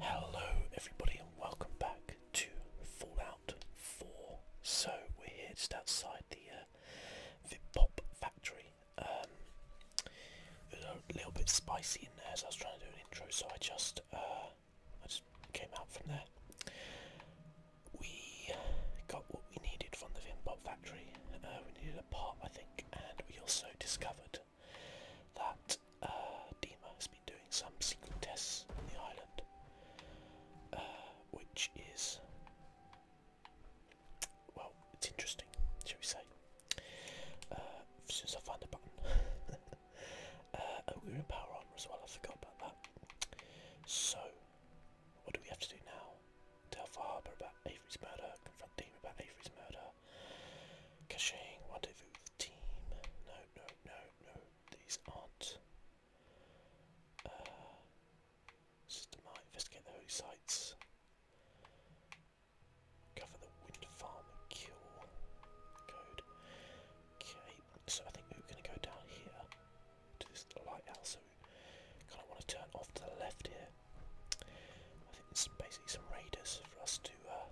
Hello everybody and welcome back to Fallout 4. So we're here just outside the uh, Pop factory. it um, was a little bit spicy in there as I was trying to do an intro so I just, uh, I just came out from there. We got what we needed from the Pop factory. Uh, we needed a pop, I think and we also discovered that uh, has been doing some single tests on the island, uh, which is, well, it's interesting, shall we say. Uh, find the button. oh, we were in Power Armor as well, I forgot about that. So, what do we have to do now? Tell Farber about Avery's murder, confront Dima about Avery's murder, Caching, rendezvous with the team. No, no, no, no. These aren't. Uh, systemite, investigate the holy sites. Cover the wind farm kill. Code. Okay, so I think we are going to go down here to this lighthouse. So we kind of want to turn off to the left here. I think it's basically some raiders for us to uh,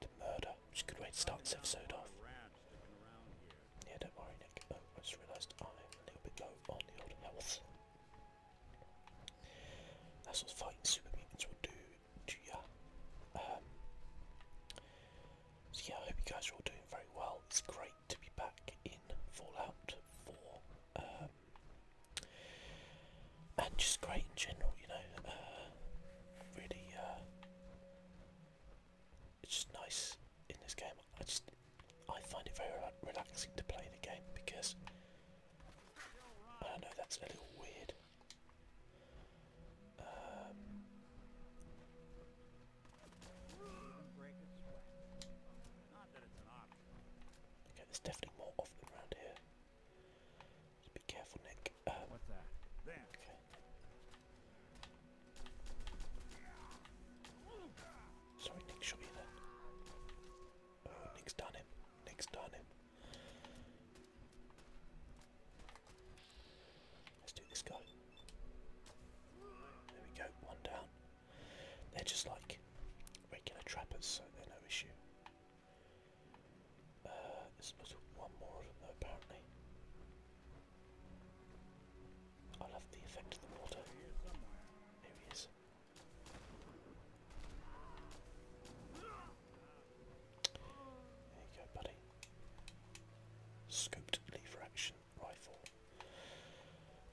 to murder, which a good way to start this episode off. Yeah, don't worry, Nick. Oh, I just realised I'm a little bit low on the old health. That's what fighting super mutants will do to ya. Um, so yeah, I hope you guys are all doing very well. It's great to be back in Fallout 4. Um, and just great in general, you know. Uh, really, uh, it's just nice in this game. I just I find it very relaxing to play the game because I don't know that's a little weird. Um, okay, there's definitely more of them around here. Be careful, Nick. Uh, Sorry, Nick shot you there. Oh, Nick's done him. Nick's done him. Let's do this guy. There we go, one down. They're just like regular trappers, so they're no issue. Uh, there's supposed to be one more of them though apparently. I love the effect of the water. Here he is. There you go, buddy. Scooped lever action rifle.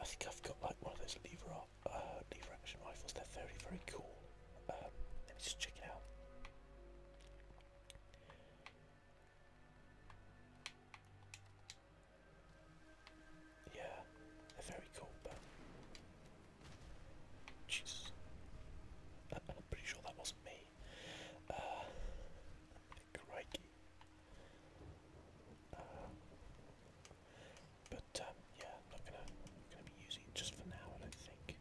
I think I've got like one of those lever, uh, lever action rifles. They're very, very cool. Um, let me just check it out. Yeah, very cool, but uh, pretty sure that was me. Uh, crikey. Uh, but um, yeah, not gonna, gonna be using just for now. I think.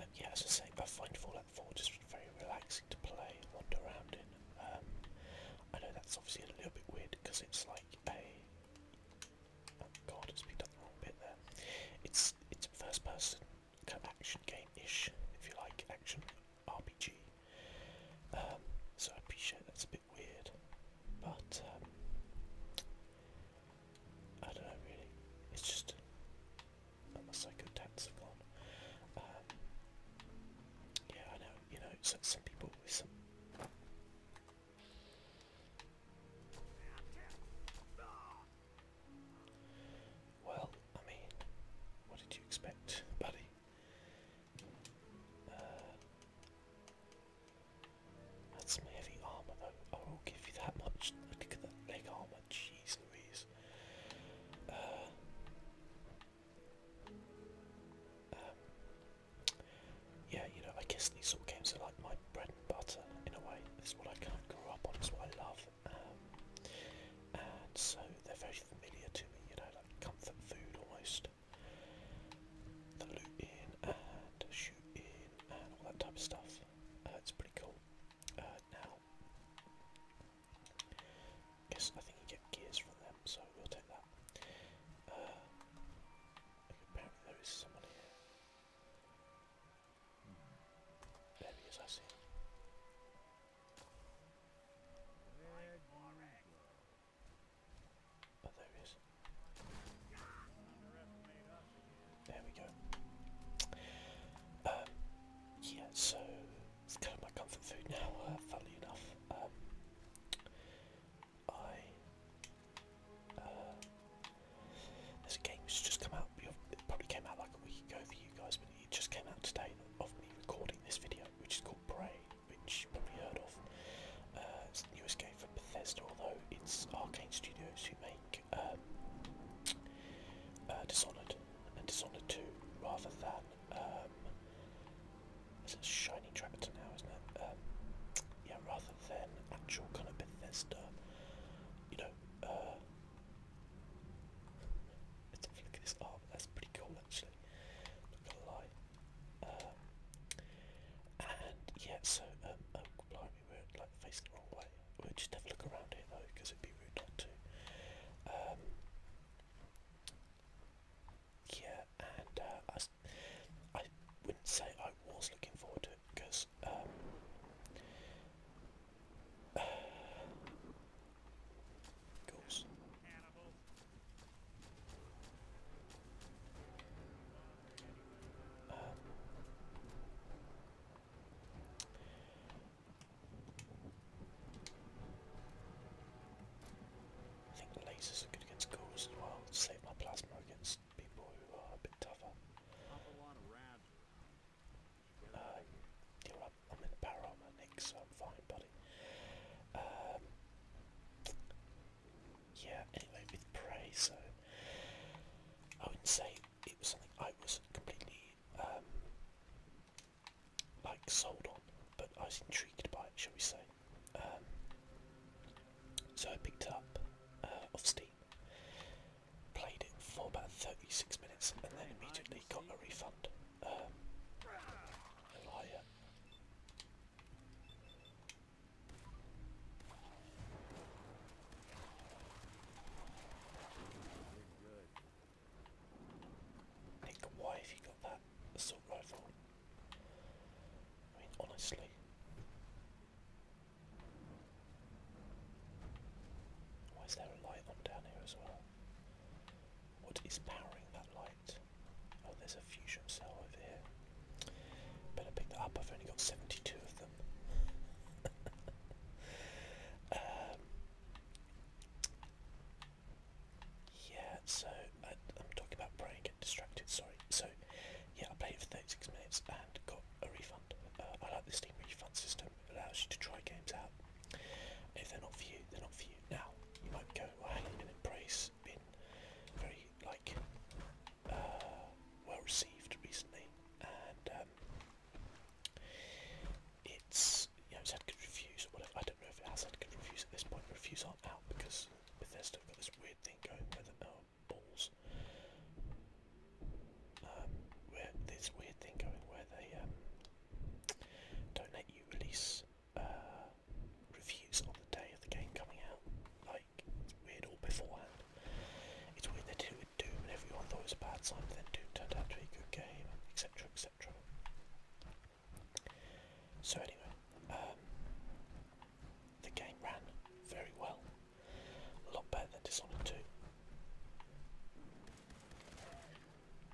Um, yeah, as I say, I find Fallout 4 just very relaxing to play, wander around in. Um, I know that's obviously a little bit weird because it's like a. Oh god, it's picked up the wrong bit there. It's it's first person action game ish, if you like, action RPG. Um, so I appreciate that's a bit weird, but I don't know really. It's just a psycho one. Um, yeah, I know. You know, some people Well, I mean, what did you expect, buddy? Uh, that's my heavy armor though. I will not give you that much. Look at that leg armor. Jeez Louise. Uh, um, yeah, you know, I guess these sort of games are like my bread and butter in a way. This is what I kind of grew up on. It's what I love. Um, and so they're very familiar to me, you know, like comfort food almost. The loot in and shoot in all that type of stuff. Uh, it's pretty cool. Uh, now, yes, I think you get gears from them, so we'll take that. Uh, apparently there is someone here. There he is, I see Oh, there There we go. Um, yeah, so it's kind of my comfort food now, uh, funnily enough. Um, I. Uh, there's a game which just come out, probably came out like a week ago for you guys, but it just came out today of me recording this video, which is called Prey, which you probably heard of. Uh, it's the newest for Bethesda, although it's Arcane Studios who make um, uh, Dishonored and Dishonored 2 rather than. Um, it's a shiny tractor now, isn't it? Um, yeah, rather than actual kind of Bethesda, you know. Uh, let's have this arm. That's pretty cool, actually. Not gonna lie. Um, and yeah, so we were like facing the wrong way. We'll just have a look around here though, because it'd be rude not to. Um, yeah, and uh, I, I wouldn't say I was looking forward to it because um, uh, goals. Um, I think the lasers are good against ghouls as well, save my plasma against people who are a bit tougher. Uh, I'm in power armor, Nick, so I'm fine, buddy. Um, yeah, anyway, with Prey, so I wouldn't say it was something I was completely um, like sold on, but I was intrigued by it, shall we say. Um, so I picked up uh, off Steam, played it for about 36 minutes, and then immediately got a refund. Um, liar. Take the Y you got that assault rifle. I mean, honestly. Why is there a light on down here as well? What is powering that light? Oh, there's a fusion cell over here. Better pick that up. I've only got 72 of them. Um, yeah, so I, am talking about praying and getting distracted. Sorry. So yeah, I played it for 36 minutes and got a refund. Uh, I like the Steam refund system. It allows you to try games out. if they're not for you, they're not for you. Now you might go, well, hang on a been very like uh, well received recently and um, it's you know it's had good reviews or whatever. I don't know if it has had good reviews at this point. Reviews aren't out because Bethesda have got this weird thing going where the um, balls, um, they don't let you release uh, reviews on the day of the game coming out it's weird all beforehand. It's weird they did it with Doom and everyone thought it was a bad sign, but then Doom turned out to be a good game, etc. etc. So anyway, um, the game ran very well. A lot better than Dishonored 2.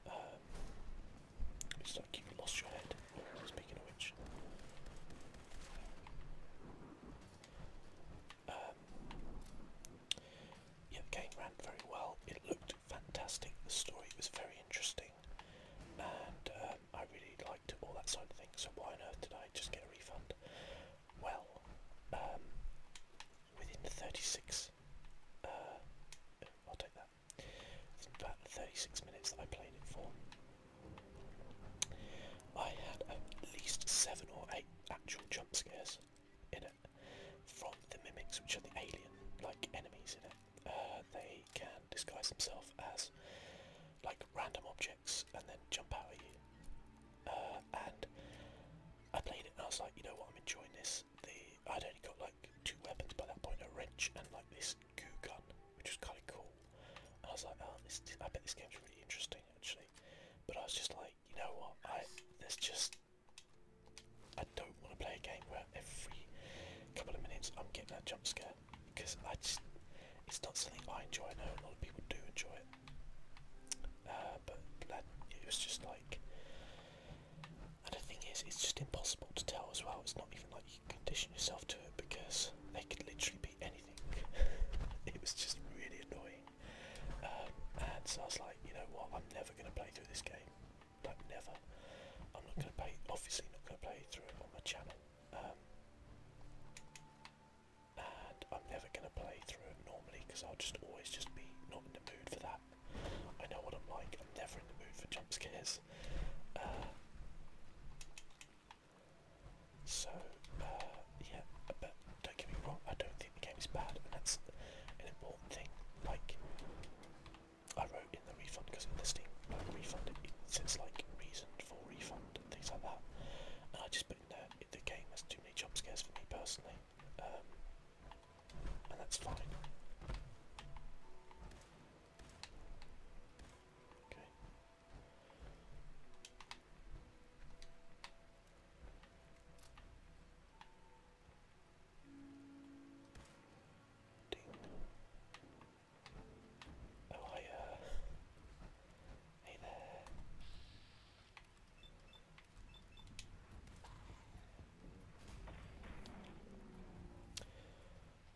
Um, it's like you've lost your head, speaking of which. Um, yeah, the game ran very well. It looked fantastic. The story was very interesting, and um, I really liked all that side of things. So why on earth did I just get a refund? Well, um, within 36, uh, I'll take that. Within about 36 minutes that I played it for, I had at least seven or eight actual jump scares in it from the mimics, which are the alien-like enemies in it. Uh, they can disguise themselves as like random objects and then jump out at you. Uh, and I played it and I was like, you know what, I'm enjoying this. The I'd only got like two weapons by that point, a wrench and like this goo gun, which was kind of cool. I was like, oh, I bet this game's really interesting actually. But I was just like like, you know what, I there's just I don't want to play a game where every couple of minutes I'm getting that jump scare because I just it's not something I enjoy. I know a lot of people do enjoy it, uh, but that, it was just like, and the thing is, it's just impossible to tell as well. It's not even like you can condition yourself to it because they could literally be anything. it was just really annoying. Um, and so I was like, you know what, I'm never going to play through this game. Like, never. I'm not going to play, obviously not going to play through on my channel. Um, and I'm never going to play through it normally because I'll just always just be not in the mood for that. I know what I'm like, I'm never in the mood for jump scares. Uh, so, uh, yeah, but don't get me wrong, I don't think the game is bad, and that's an important thing. Like, I wrote in the refund because in the Steam like, refund it, it says like reason for refund and things like that, and I just put in the game has too many jump scares for me personally, um, and that's fine. Okay. Ding. Oh, Hey there.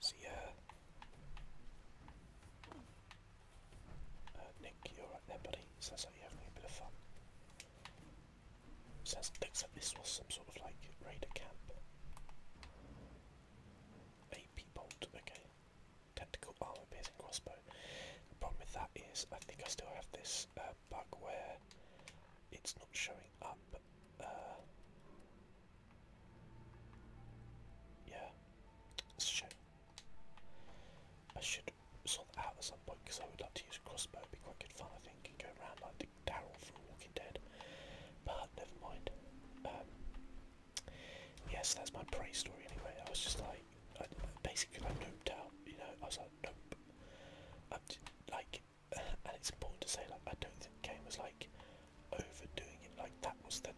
See ya. Uh, Nick, you're right there, buddy. Sounds like you're having a bit of fun. Sounds looks like this was some sort of like raider camp. AP bolt, okay. Tactical armor piercing crossbow. The problem with that is, I think I still have this uh, bug where it's not showing up. Uh, yeah, it's a shame. I should sort that out at some point because I would like to use crossbow. it be quite good fun, I think, and go around like the Daryl from Walking Dead. But never mind. Um, yes, that's my prey story anyway. I was just like, basically, I noped out. You know, I was like, nope. like, and it's important to say, like, I don't think the game was like overdoing it. Like that was the.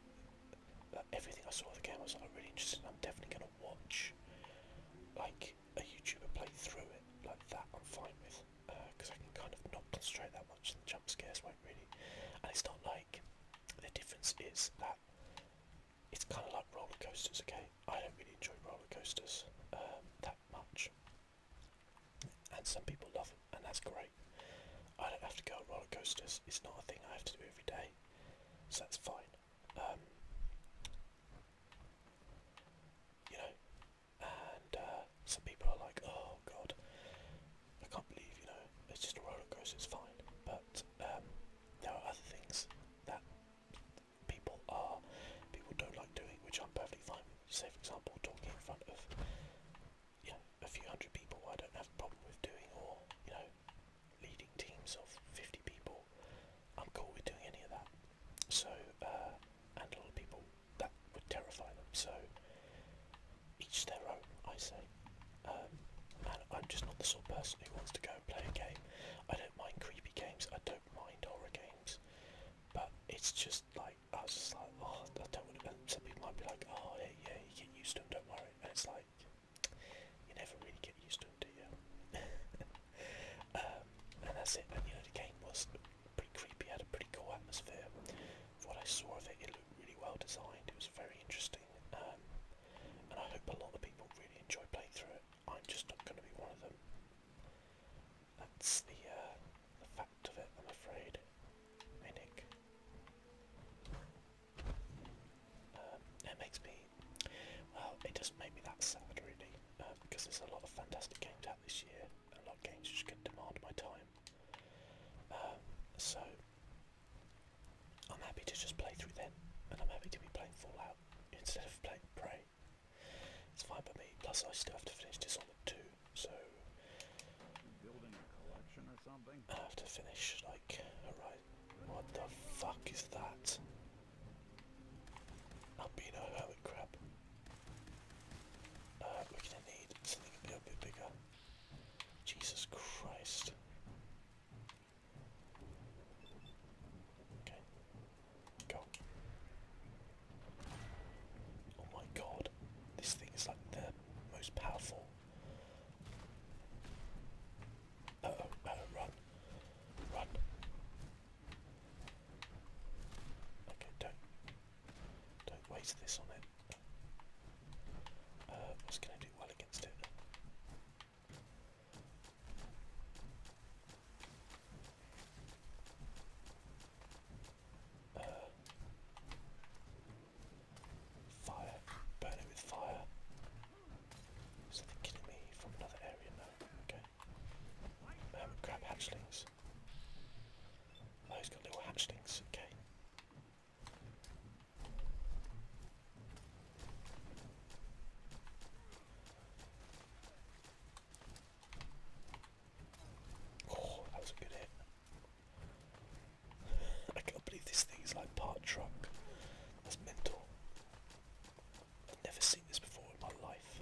everything I saw of the game I was like, really interested. I'm definitely gonna watch like a YouTuber play through it like that, I'm fine with because uh, I can kind of not concentrate that much, and the jump scares won't really. And it's not like the difference is that it's kind of like roller coasters. Okay, I don't really enjoy roller coasters um, that much, and some people love them, and that's great. I don't have to go roller coasters. It's not a thing I have to do every day, so that's fine um, you know, and uh, some people are like, oh god, I can't believe, you know, it's just a roller coaster, it's fine, but um, there are other things that people are, people don't like doing, which I'm perfectly fine with, say for example, talking in front of, you know, a few hundred people I don't have a problem with doing, or, you know, leading teams of 50 people, I'm cool with doing any of that. So, uh, and a lot of people, that would terrify them. So, each their own, I say. Um, and I'm just not the sort of person who wants to go and play a game. I don't mind creepy games, I don't mind horror games. But it's just like, I was just like, oh, I don't want to, some people might be like, oh, yeah, yeah, you get used to them, don't worry. And it's like, like you never really get used to them, do you? um, and that's it. And you know, the game was pretty creepy. Had a pretty cool atmosphere. For what I saw of it, it looked really well designed. It was very interesting, um, and I hope a lot of people really enjoy playing through it. I'm just not going to be one of them. That's the uh, the fact of it, I'm afraid. Hey Nick it makes me, well, it doesn't make me that sad really, um, because there's a lot of fantastic games out this year, and a lot of games which can demand my time. Um, so, I'm happy to just play through them, and I'm happy to be playing Fallout instead of playing Prey. It's fine by me. Plus, I still have to finish Dishonored too, so. Building a I have to finish like Horizon. What the fuck is that? Albino hermit crab. Uh, we're gonna need something a bit, bigger. Jesus Christ. Okay. Go. Oh my god. This thing is like the most powerful. oh, oh, run. Run. Okay, don't don't waste this on it. Uh, what's going to do well against it? Uh, fire. Burn it with fire. So killing me from another area now. Okay. Um, hatchlings. Oh, got little hatchlings. Okay. Oh, that was a good hit. I can't believe this thing is like part truck. That's mental. I've Never seen this before in my life.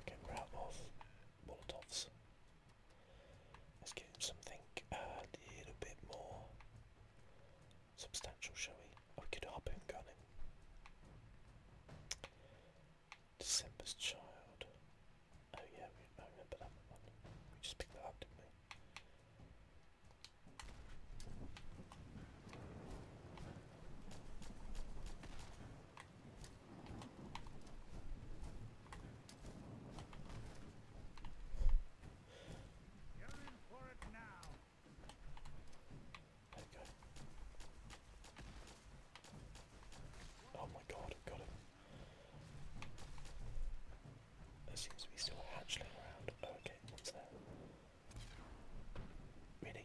Okay, we're out of Let's get something uh, a little bit more substantial, shall we? Oh, we could harpoon gun him. December's Child. Oh yeah, I remember that one. We just picked that up, didn't we? Oh my god, got him. There seems to be still a hatchling around. Oh, okay, what's there? Really?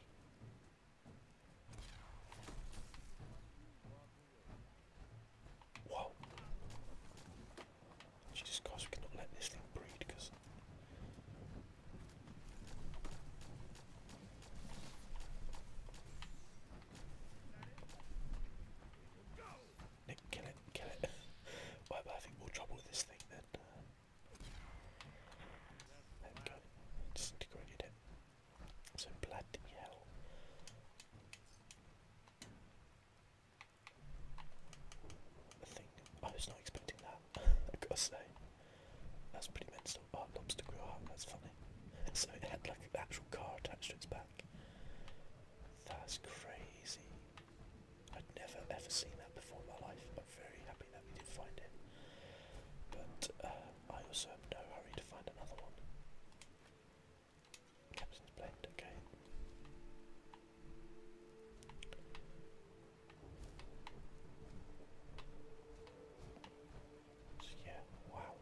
Whoa. Jesus Christ, we cannot let this thing breed because. Nick, kill it, kill it. well, I think more trouble with this thing than God, Integrated it. So bloody hell. I think I was not expecting that. I have gotta say, that's pretty mental. Oh, lobster grew out. Oh, that's funny. So it had like an actual car attached to its back. That's crazy. I'd never ever seen that before in my life. but very happy that we did find it. But uh, I also have no hurry to find another one. Captain's Blade, okay. yeah, wow.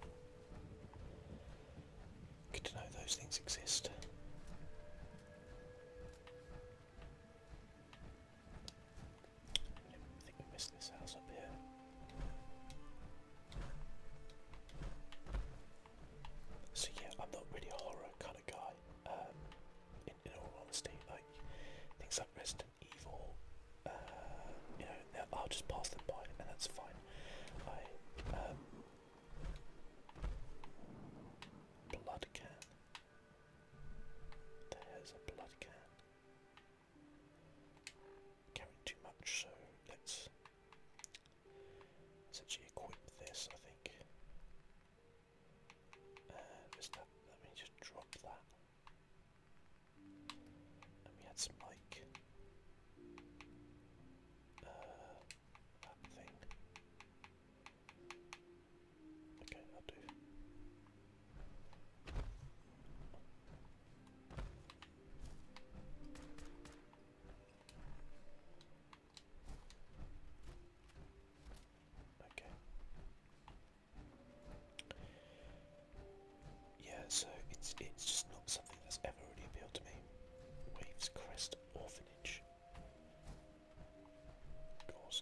Good to know those things exist. I So yeah, I'm not really horror kind of guy. Um, in, all honesty, like things like Resident Evil, um, you know, I'll just pass them by, and that's fine. Um, blood can. There's a blood can. Carrying too much, so let's essentially equip this, I think. Uh, let me just drop that. And we had some like uh, that thing. Okay, I'll do. Okay. Yeah, so it's it's just not something that's ever really appealed to me. Waves Crest Orphanage. Of course.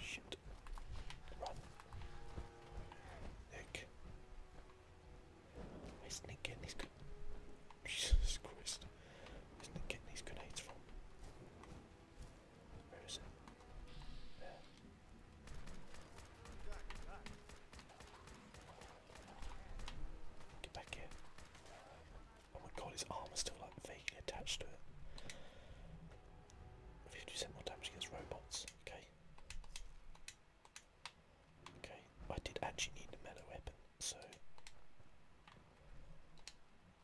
Shit. Run. Nick. Where's Nick getting these grenades? from? Where is it? Get back here. Oh my god, his arm is still like vaguely attached to it. 50% more damage against robots. Okay. Okay, I did actually need a melee weapon, so.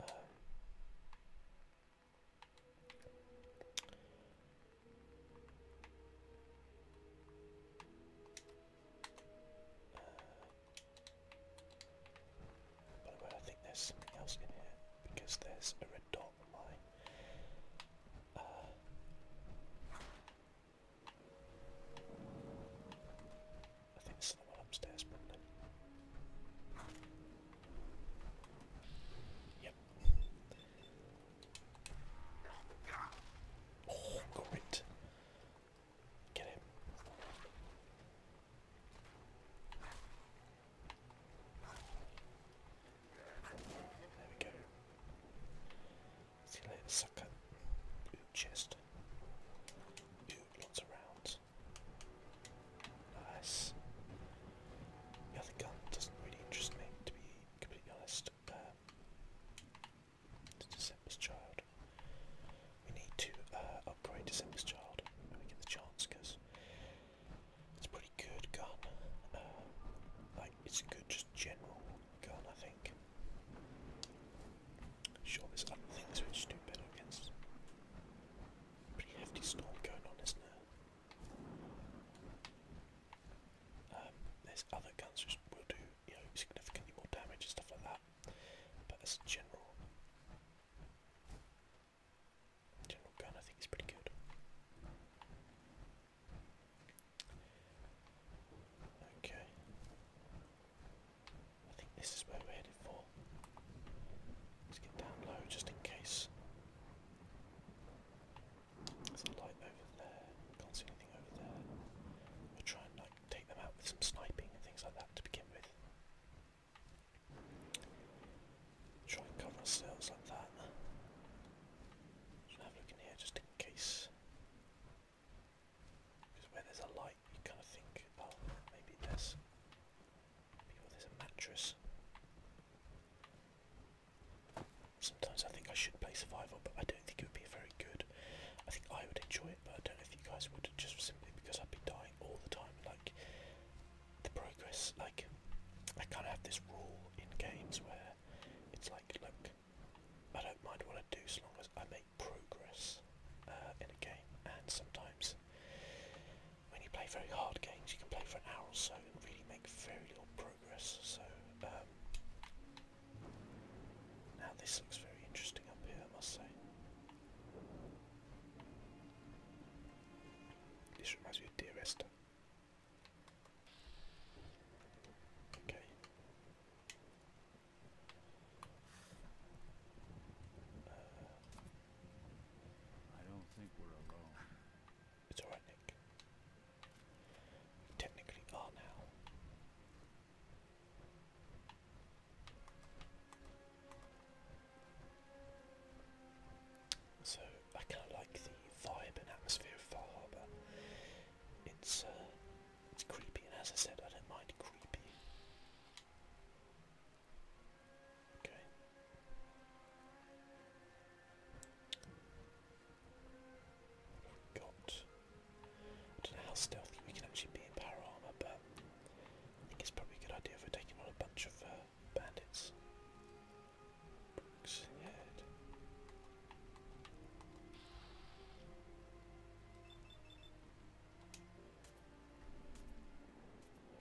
Um, by the way, I think there's something else in here because there's a red dot on uh, I think there's someone upstairs probably. Yep. Oh, great. Get him. There we go. See you sucker. Ooh, chest. Ooh, lots of rounds. Nice. The other gun doesn't really interest me, to be completely honest. Um, to December's Child. We need to uh, upgrade the Sims Child when we get the chance because it's a pretty good gun. Uh, like, it's a good just general gun, I think. Sure, there's other things which do better against. Pretty hefty storm going on, isn't there? Um, there's other guns which will do, you know, significantly more damage and stuff like that. But as a general, General gun, I think, is pretty good. Okay. I think this is where we're headed for. Let's get down low just in case. There's a light over there. Can't see anything over there. we try and like take them out with some sniping and things like that to begin with. Try and cover ourselves like that. have a look in here just in case. Because where there's a light, you kind of think, oh, maybe there's, maybe oh, there's a mattress. Sometimes I think I should play survival, but I don't think it would be very good. I think I would enjoy it, but I don't know if you guys would, just simply because I'd be dying dying all the time. Like the progress, like I kind of have this rule in games where it's like, look, I don't mind what I do as long as I make progress uh, in a game. And sometimes when you play very hard games, you can play for an hour or so and really make very little progress. So um, now this looks very interesting up here, I must say. This reminds me of Dearest. Okay. Uh, I don't think we're alone. It's alright, Nick. technically are now. So I kind of like the vibe and atmosphere of Far Harbor. It's uh, it's creepy, and as I said, I don't mind creepy. Okay. What have got? I don't know how stealthy we can actually be in power but I think it's probably a good idea for taking on a bunch of uh, bandits.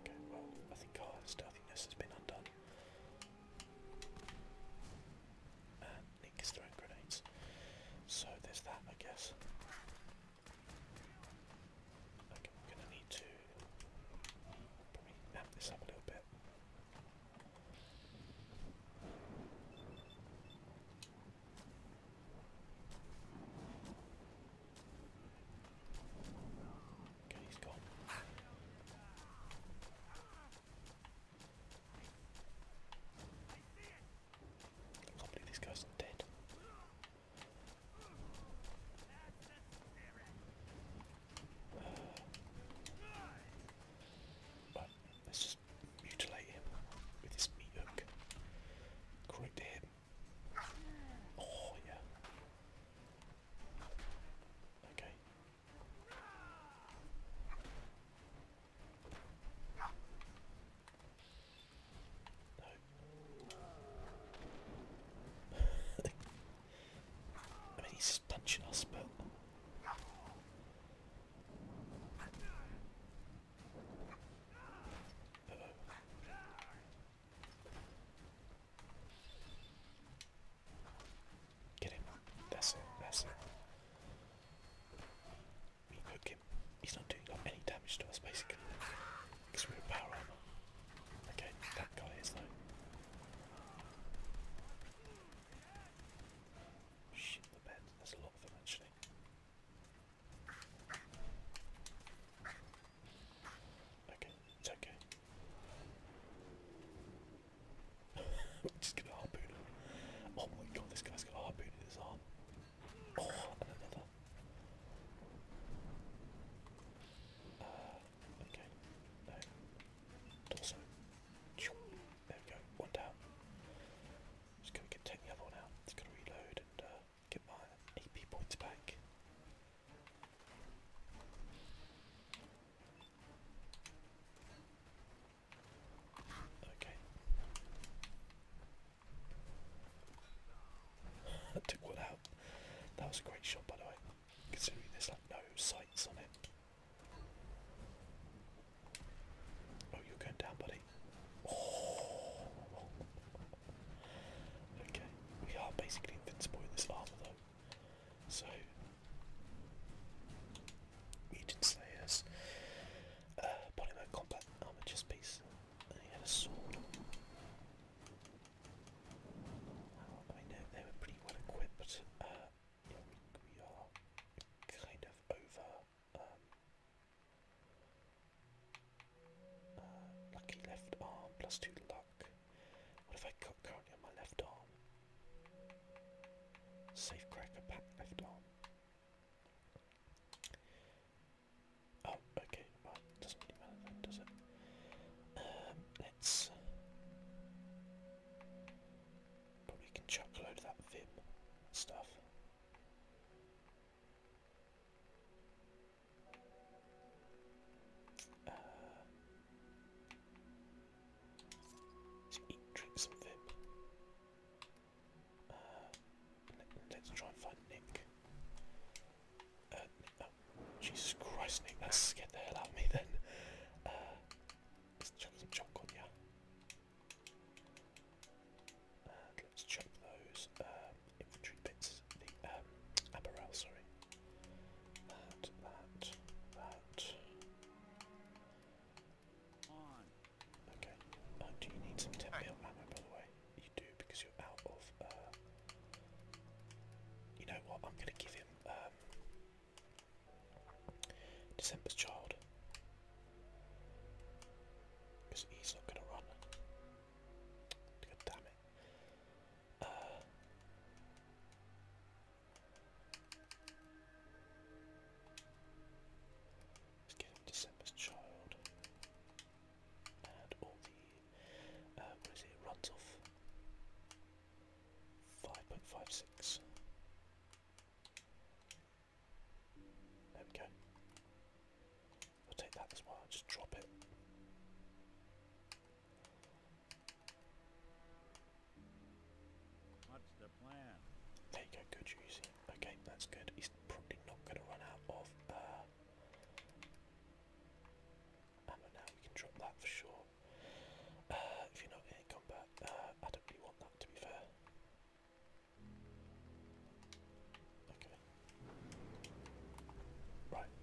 Okay, well, I think our stealthiness has been undone. Nick is throwing grenades. So there's that, I guess. I'm gonna need to uh, probably this up a little bit. Okay, he's gone. I can't believe these guys are dead. Uh, But let's just mutilate him with this meat hook. Correct him. Oh yeah. Okay. I mean, he's punching us, but. Get him. That's it. That's it. We cook him. He's not doing any damage to us, basically. Okay, that guy is though. Shit the bed. There's a lot of them actually. Okay, it's okay. Just gonna harpoon Oh my god, this guy's got a harpoon in his arm. Oh, uh, okay. There we go. One down. Just gonna get take the other one out. Just gonna reload and uh, get my AP points back. Okay. Took one out. That was a great shot, by the way. Considering there's like no sights on it. Oh, you're going down, buddy. Oh. Okay, we are basically invincible in this armor, though. So, Mutant Slayers, uh, polymer combat armor piece, he had a sword. I know they were pretty well equipped. Uh, we, are kind of over. Um, uh, lucky left arm plus two luck. What have I got currently on my left arm? Safe cracker pack left arm. Oh, okay, doesn't really matter does it? Um, let's... Probably can chuck a load of that VIB stuff. Uh, let's eat, drink some Vim. Uh, let's try and find Nick. Uh, oh, Jesus Christ, Nick, that scared the hell out of me then. Uh, let's chuck some chalk on And let's chuck those um, infantry bits, the um, sorry. That, that, that. Okay. Uh, do you need some 10 mil by the way? You do because you're out of. Uh, you know what? I'm gonna give him um, December's Child because he's not gonna run. God damn it! Uh, let's get December's Child and all the um, what is it? runs off 5.56 there we go I'll take that as well, just drop it There you go, good juicy. Okay, that's good. He's probably not going to run out of uh, ammo now. You can drop that for sure. Uh, if you're not in combat, uh, I don't really want that to be fair. Okay. Right.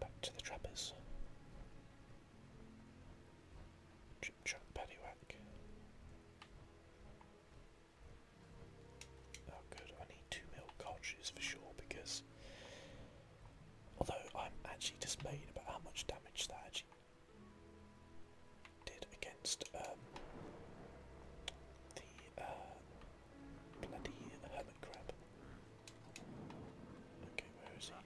Back to the trappers. Trip trap paddywhack. Oh good, I need two mil cartridges for sure because Although I'm actually dismayed about how much damage that actually did against um, the uh, bloody hermit crab. Okay, where is he?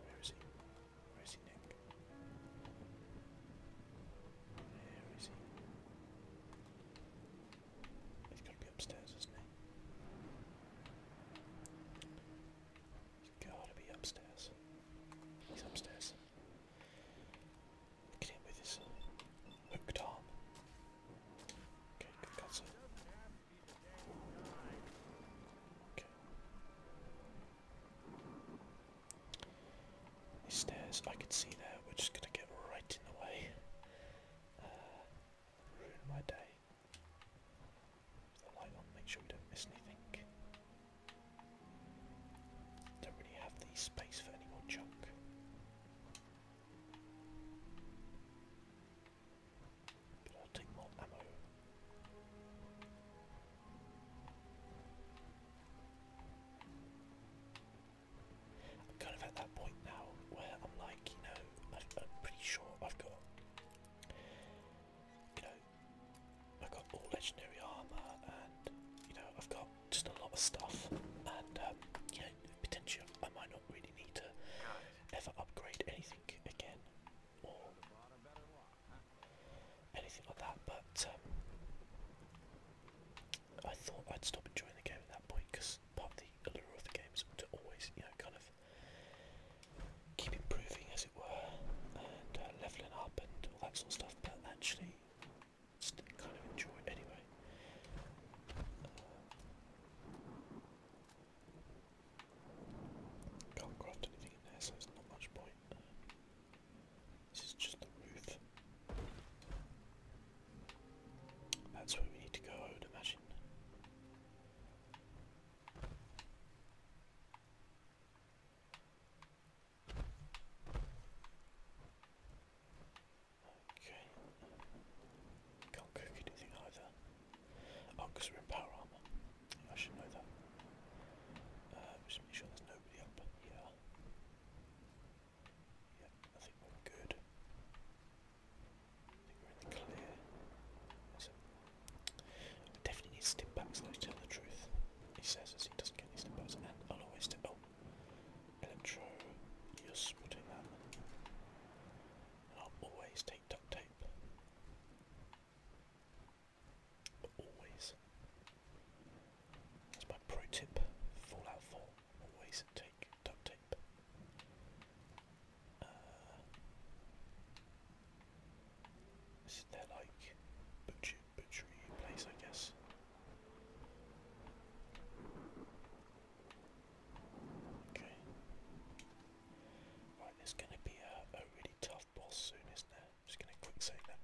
Where is he? Where is he, Nick? Where is he? has got to be upstairs, isn't he? He's got to be upstairs. He's upstairs. Look at him with his hooked arm. Okay, good these stairs, I can see there, we're just gonna get right in the way. Uh, ruin my day. the light on, make sure we don't miss anything. Don't really have the space for any more junk. But I'll I'm kind of at that point now where I'm like, you know, I, am pretty sure I've got, you know, I've got all legendary armor and, you know, I've got just a lot of stuff and, um, potentially I might not really need to ever upgrade anything again anything like that. But um, I thought I'd stop enjoying the game at that point because part of the allure of the games is to always, you know, kind of keep improving, as it were, and uh, leveling up and all that sort of stuff. But actually, just kind of enjoy it anyway. Uh, can't craft anything in there, so there's not much point. This is just the roof. That's where we need to go, I would imagine. Okay. Can't cook anything either. Oh, we're in power armor. I should know that. Uh, just make sure there's nobody up here. Yeah, I think we're good. we're in the clear. So, I definitely step backs though, to tell the truth. He says he doesn't get any step backs, I'll always step. Oh, Electro, yes, we'll that. I'll always take duct tape. But always. That's my pro tip. Fallout 4. Always take duct tape. Uh, this is like butcher butchery place, I guess. Okay. Right, there's going to be a, a really tough boss soon, isn't there? Just going to quick save that.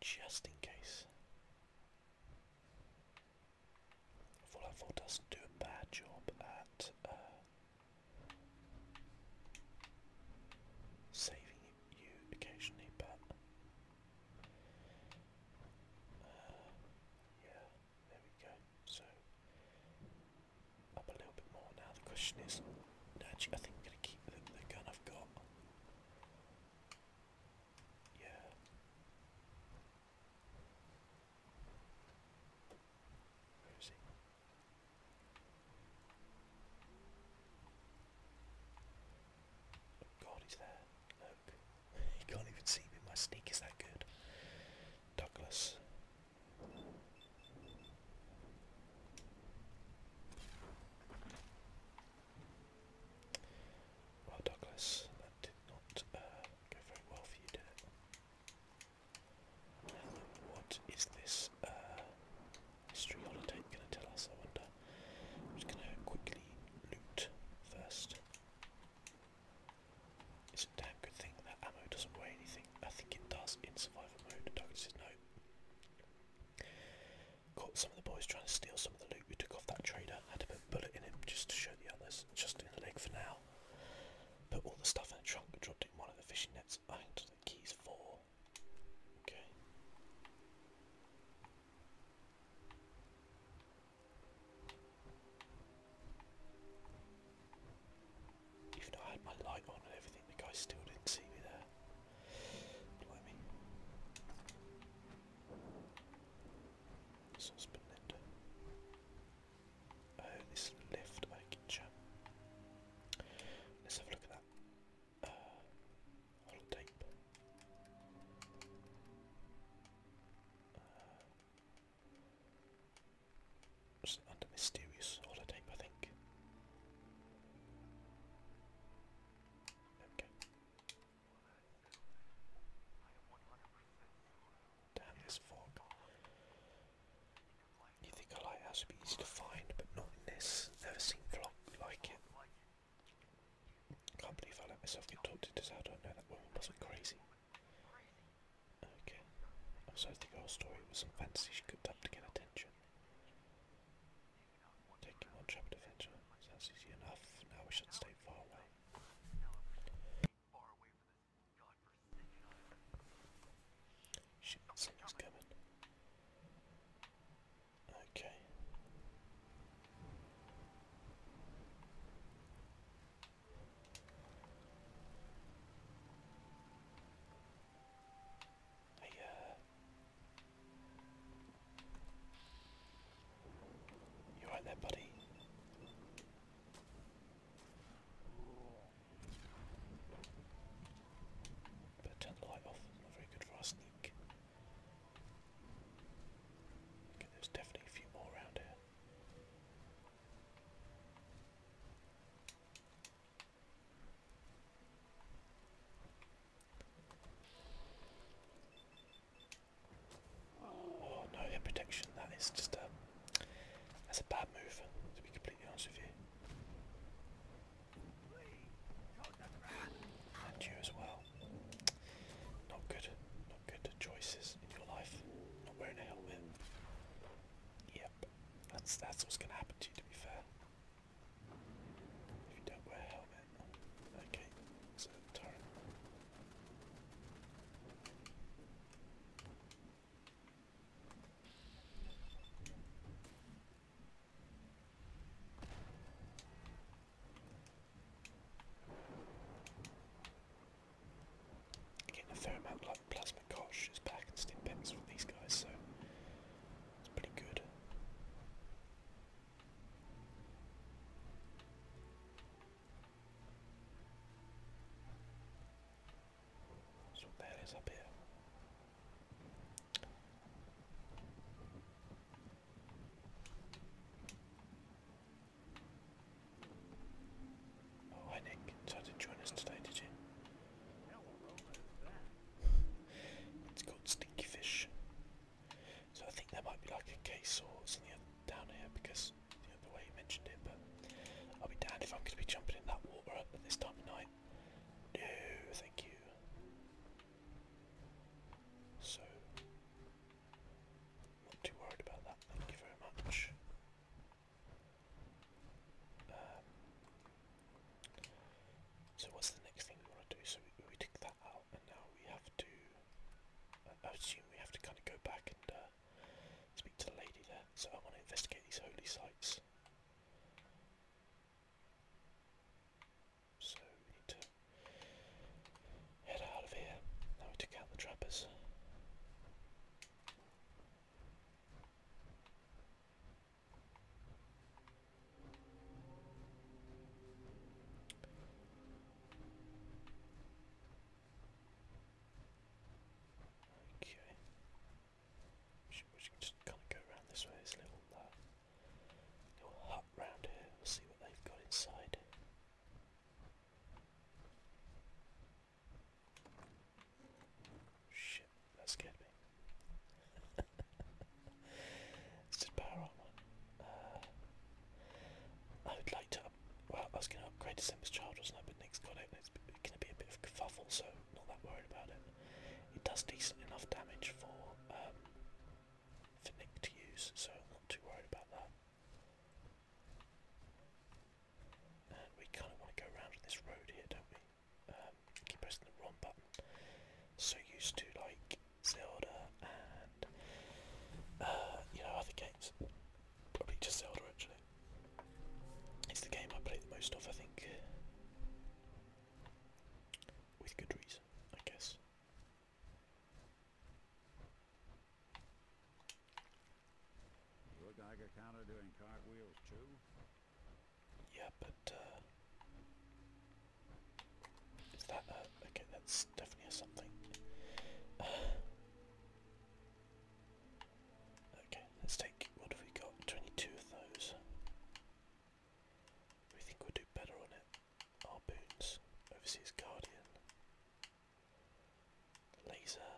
Just in case. Fallout 4 doesn't do a bad job at uh, saving you occasionally, but uh, yeah, there we go. So up a little bit more now. The question is, actually, I think I'm going to keep the gun I've got. Yeah. Where is he? God, he's there. Look. you can't even see me. My sneak is that good. Douglas. Well, Douglas, that did not uh, go very well for you, did it? what is this uh, history holotape going to tell us, I wonder? I'm just going to quickly loot first. It's a damn good thing that ammo doesn't weigh anything. I think it does in survival mode. Douglas says no. Caught some of the boys trying to steal some of the loot we took off that trader. Had to put a bullet in him just to show the others. Just in the leg for now. Put all the stuff in a trunk dropped it in one of the fishing nets. I had the keys for. Okay. Even though I had my light on and everything, the guy still didn't see me there. Blimey. Saucepan Oh, this lift, I getcha. Let's have a look at that. Uh, Hollow uh, under mysterious holotape, I think. Okay. Damn this fog. You think a lighthouse would be easy to find, but not in this. Never seen vlog like it. Can't believe I let myself get talked into this. I don't know that woman wasn't crazy. Okay. Also, the girl's story was some fantasy she cooked up to get attention. Taking one shot adventure. Sounds easy enough. Now we should stay far away. Shit, something's coming. Okay. Hey, uh, you right there, buddy? Better turn the light off, not very good for our sneak. there's definitely a few more around here. Oh no, hit protection. That is just a that's a bad move. To be completely honest with you. And you as well. Not good. Not good choices in your life. Not wearing a helmet. Yep. That's that's what's gonna happen to you to be fair. If a helmet, Getting a fair amount of plasma kosh back and stimpets for these guys, so it's pretty good. So that is up here. Oh, hi Nick. Tried to join us today, did you? It's called Stinky Fish. So I think there might be like a case or something down here because you know, the way you mentioned it, but I'll be damned if I'm going to be jumping in that water at this time of night. No, thank you. So, not too worried about that, thank you very much. Um, so what's the next thing we want to do? So we take that out and now we have to. assume we have to kind of go back and uh, speak to the lady there. So I want to investigate these holy sites. So we need to head out of here. Now we took out the trappers. Okay. We should, we just kind of go around this way. There's a little, uh, little hut round here. We'll see what they've got inside. Shit, that scared me. It's just power armor. Uh, I would like to. Up well, I was going to upgrade December's Child, wasn't I? But Nick's got it, it's going to be a bit of kerfuffle, so not that worried about it. It does decent enough damage for um, Nick to use, so I'm not too worried about that. And we kind of want to go around this road here, don't we? Um, keep pressing the wrong button. So used to like Zelda, and uh, you know other games. Probably just Zelda actually. It's the game I play the most of, I think, with good reason, I guess. You is that uh, Okay, that's definitely something. okay, let's take... What have we got? 22 of those. We think we'll do better on it. Harpoons. Overseas Guardian. Laser.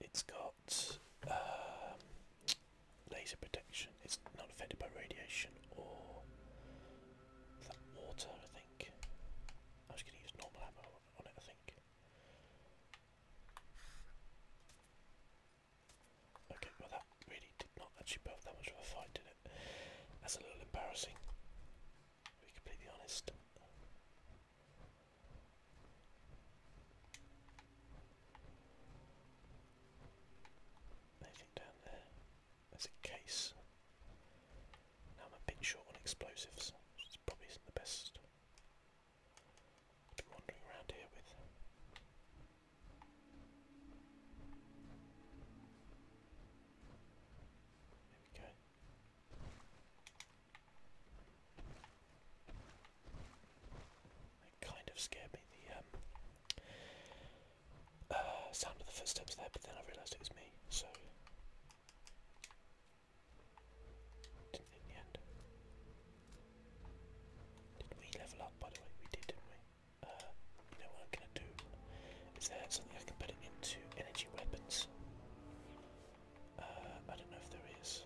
It's got... Um, laser protection. It's not affected by radiation or that water, I think. I was going to use normal ammo on it, I think. Okay, well that really did not actually put that much of a fight, did it? That's a little embarrassing, to be completely honest. Anything down there? There's a case. Now I'm a bit short on explosives, probably isn't the best. wandering around here with. There we go. It kind of scared me, the um, uh, sound of the footsteps there, but then I realised it was me, so... in the end. Did we level up, by the way? We did, didn't we? Uh, you know i do? Is there something I can put it into energy weapons? Uh, I don't know if there is.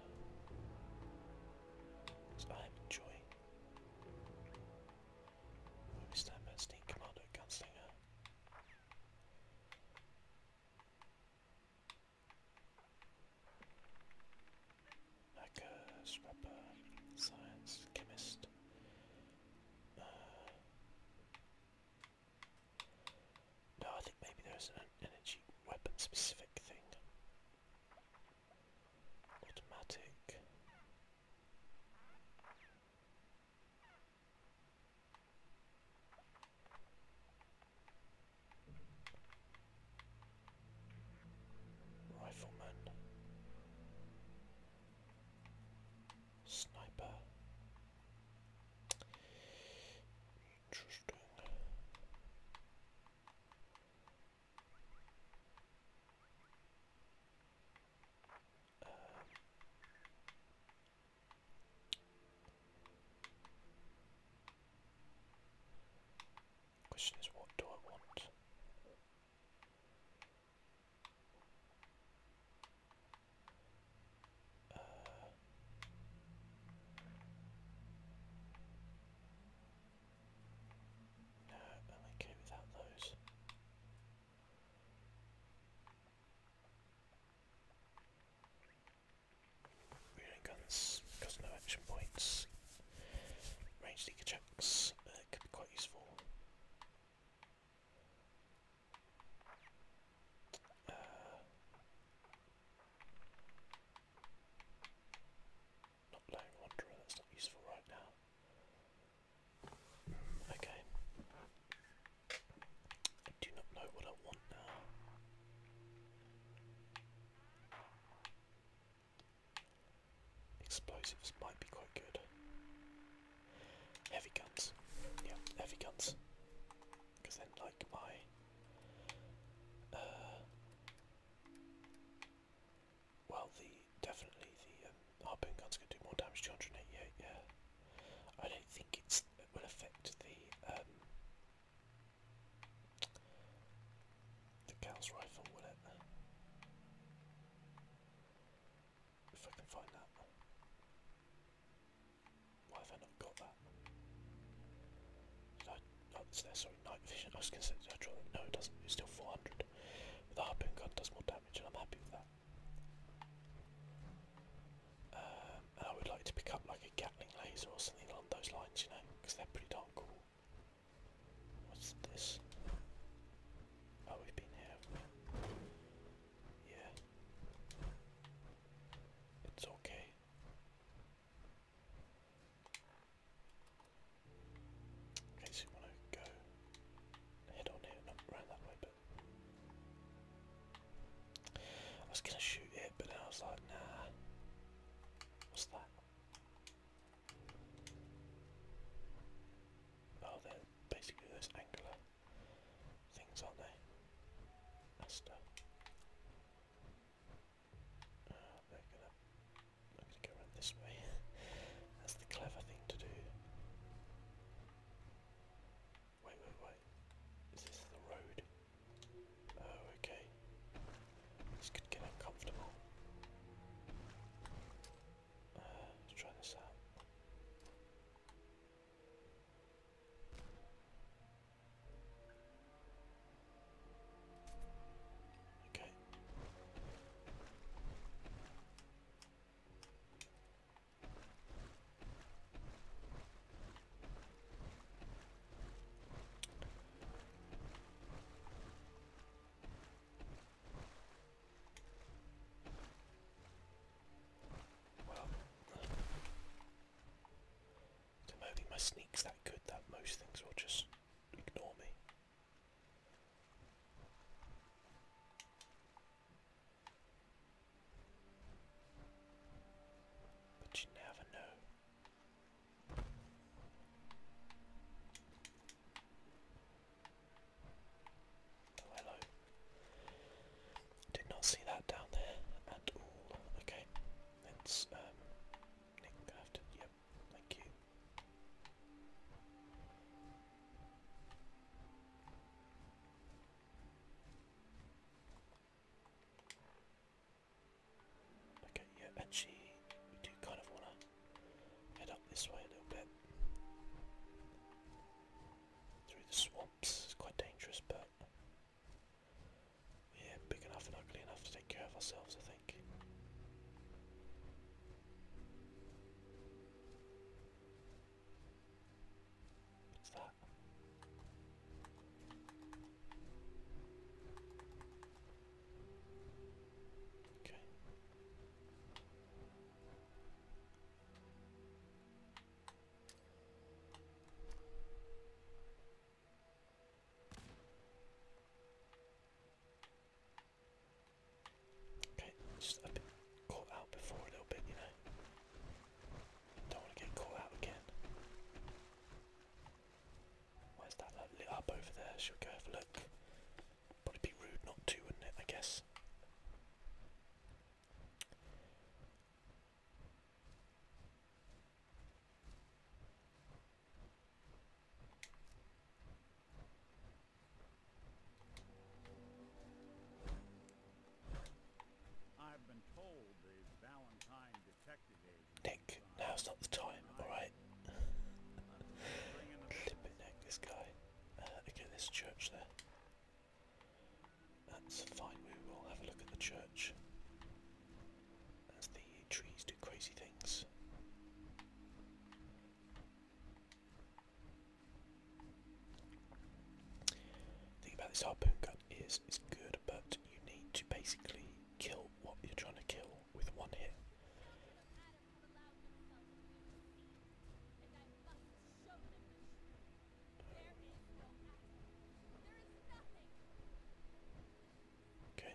So I'm enjoying let stand back, Sneak Commando, Gunslinger. Hacker, Scrapper, Science, Chemist. Uh, no, I think maybe there's an energy weapon specific thing. Automatic. Rifleman, Sniper. Interesting. Um, question is, what do I want? Uh, no, I'm okay without those. Reloading guns cost no action points. Range deaker checks uh, could be quite useful. Uh, not playing Wanderer, that's not useful right now. Okay. I do not know what I want now. Explosives might be quite good. Heavy guns. Yeah, heavy guns. Because then like my uh, well, the definitely the um, harpoon gun's gonna do more damage. 288. Yeah, I don't think it's it will affect the um, the Gauss rifle, will it? If I can find that. Why have I not got that? Did I, oh, it's there, sorry, night vision. I was going to say, did I draw that? No, it doesn't. It's still 400 the harpoon gun does more damage and I'm happy with that. Um, I would like to pick up like a Gatling laser or something along those lines, you know, because they're pretty darn cool. What's this? Oh, we've been here, Yeah. It's okay. Okay, so you want to go head on here, not round that way, but I was gonna shoot it, but then I was like, nah. What's that? Oh, they're basically those angular things, aren't they? Asta. Uh, they're I'm going to go around this way. That's the clever thing to do. Wait, wait, wait. Is this the road? Oh, okay. This could get uncomfortable. Uh, let's try this out. Okay. Well, so maybe my sneak's that good that most things will just ignore me. But you never know. Oh, hello. Did not see that down there at all. Okay, let um, yep, Thank you. Okay, yeah, actually, we do kind of want to head up this way a little bit. Through the swamps, it's quite dangerous, but yeah, big enough and ugly enough to take care of ourselves, I think. What's that? Okay. Okay, just a bit caught out before a little bit, you know. Don't want to get caught out again. Where's that like, up over there? Should we go have a look? But it'd be rude not to, wouldn't it, I guess? I've been Nick, now's not the time, alright? this guy. Uh, okay, church there. That's fine, we will have a look at the church. As the trees do crazy things. The about this harpoon gun is it's good, but you need to basically kill what you're trying to kill with one hit. Okay.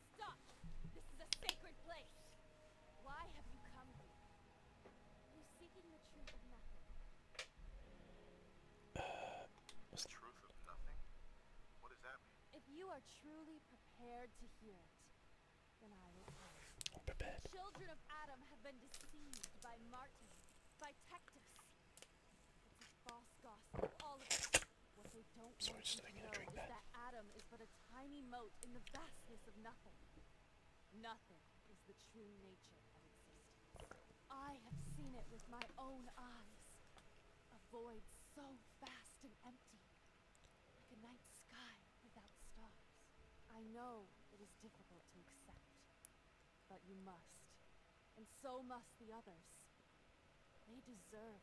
Stop! This is a sacred place! Why have you come here? You're seeking the truth of nothing. Uh, the truth of nothing? What does that mean? If you are truly prepared to hear it, then I will I'm prepared. Children of Adam have been deceived by Martin, by tactics. It's false gospel, all of it. What they to know that tiny moat in the vastness of nothing. Nothing is the true nature of existence. I have seen it with my own eyes. A void so vast and empty, like a night sky without stars. I know it is difficult to accept, but you must, and so must the others. They deserve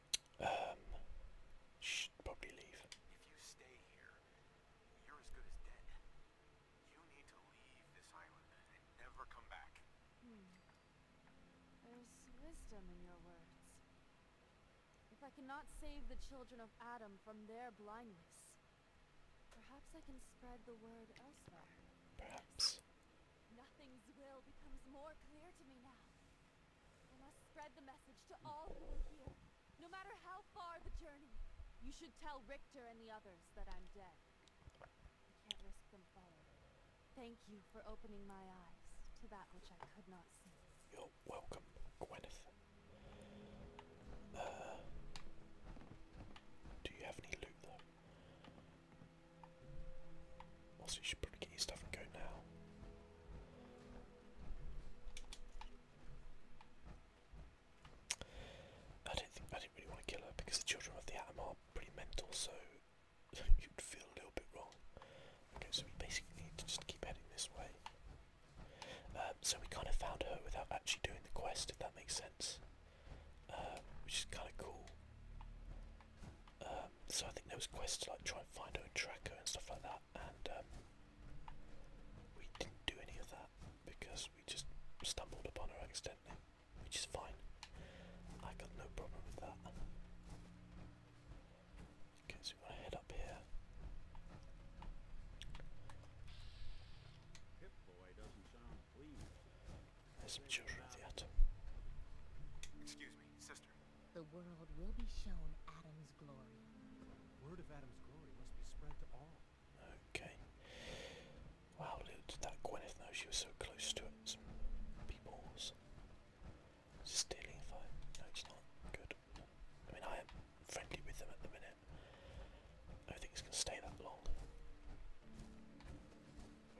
Um, should probably leave. Hmm. There's wisdom in your words. If I cannot save the children of Adam from their blindness, perhaps I can spread the word elsewhere. Perhaps. Nothing's will becomes more clear to me now. I must spread the message to all who are here, no matter how far the journey. You should tell Richter and the others that I'm dead. I can't risk them following. Thank you for opening my eyes to that which I could not see. You're welcome, Gwyneth. Uh, do you have any loot though? Also, you should probably get your stuff and go now. I don't think I didn't really want to kill her because the children of the atom are pretty mental, so you'd feel a little bit wrong. Okay, so we basically need to just keep heading this way. Um, so we kind of found her without actually doing the quest, if that makes sense, uh, which is kind of cool. Um, so I think there was quests like try and find her and track her and stuff like that and um, we didn't do any of that because we just stumbled upon her accidentally, which is fine. I got no problem with that. Okay, we want to head up here. There's some children at the Excuse me, sister. The world will be shown Adam's glory. Word of Adam's glory must be spread to all. Okay. Wow, little that Gwyneth know she was so close to it. Some stealing fire. No, it's not good. I mean, I am friendly with them at the minute. I don't think it's going to stay that long.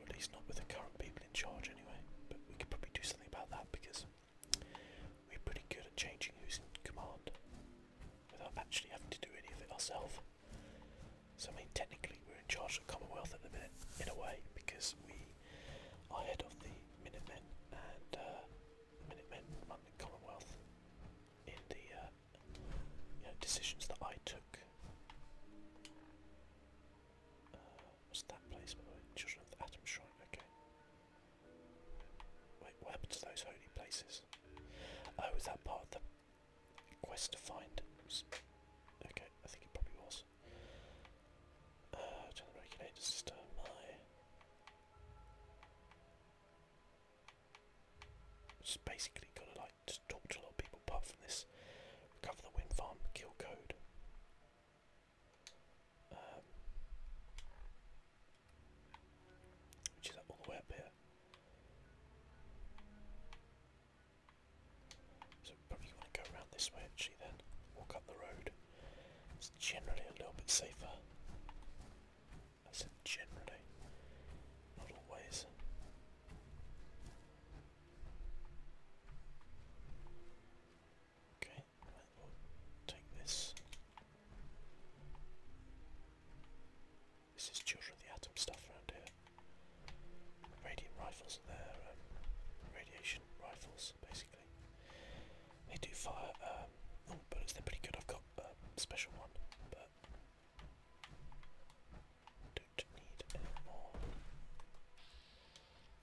at least not with the current people in charge anyway. But we could probably do something about that because we're pretty good at changing who's in command without actually having to do any of it ourselves. So I mean technically we're in charge of Commonwealth at the minute, in a way, because we are head of the Men and uh, the Men run the Commonwealth in the uh, decisions that I took. Uh, that place by the of the Atom Shrine, okay. Wait, what happened to those holy places? Oh, was that part of the quest to find? Okay, I think it probably was. Uh, the regulator system. My just basically gotta like just talk to a lot of people apart from this. Recover the wind farm, kill code which is all the way up here. So probably want to go around this way actually then, walk up the road. It's generally a little bit safer. I said generally, not always. Okay take this. This is Children of the Atom stuff around here. Radiant rifles are there, um, radiation rifles basically. They do fire, um, bullets, they're pretty good. I've got a um, special one, don't need more.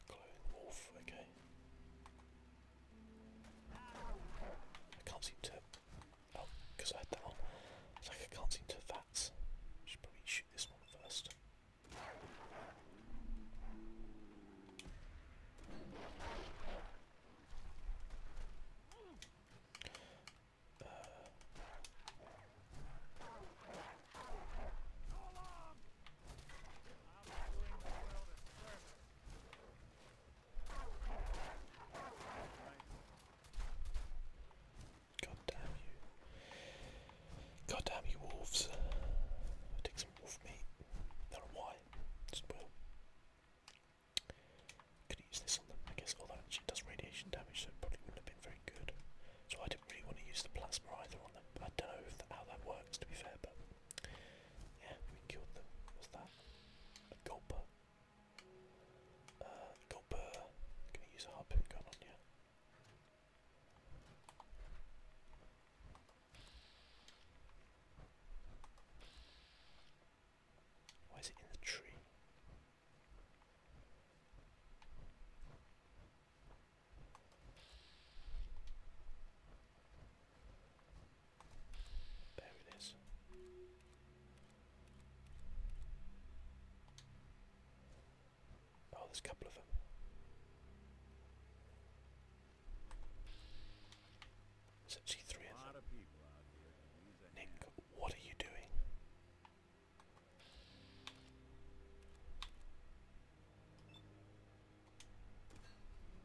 Glowing wolf, okay. I can't seem to. Oh, because I had that one. It's like I can't seem to that. Should probably shoot this one first. God damn you. God damn you wolves. I'll take some wolf meat. Not why. Just Could use this on them, I guess. Although actually does radiation damage, so probably wouldn't have been very good. So I didn't really want to use the plasma either on them. I don't know how that works to be fair, but yeah, we killed them. What's that? A gulper. Uh, i use a harpoon gun on you. Why is it in the tree? There it is. Oh, there's a couple of them. There's actually three of them. Nick, what are you doing?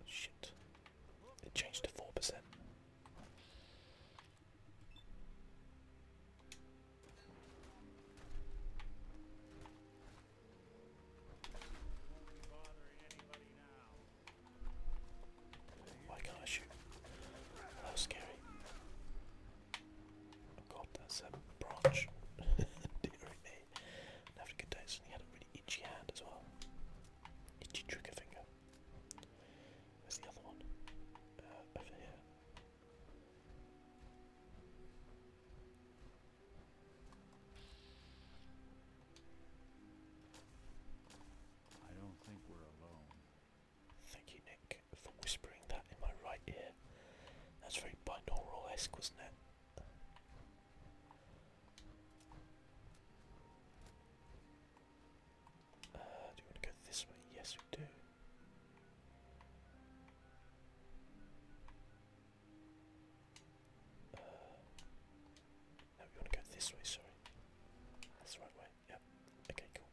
Shit. It changed to 4%. Why can't I shoot? That scary. Oh god, that's a branch. Dear me. I have good day, he had a really itchy hand as well. Itchy trigger finger. Where's the other one? Uh, over here. I don't think we're alone. Thank you, Nick, for whispering that in my right ear. That's very binaural esque, wasn't it? Uh, do we want to go this way? Yes, we do. Uh, we want to go this way, sorry. That's the right way, yep. Okay, cool.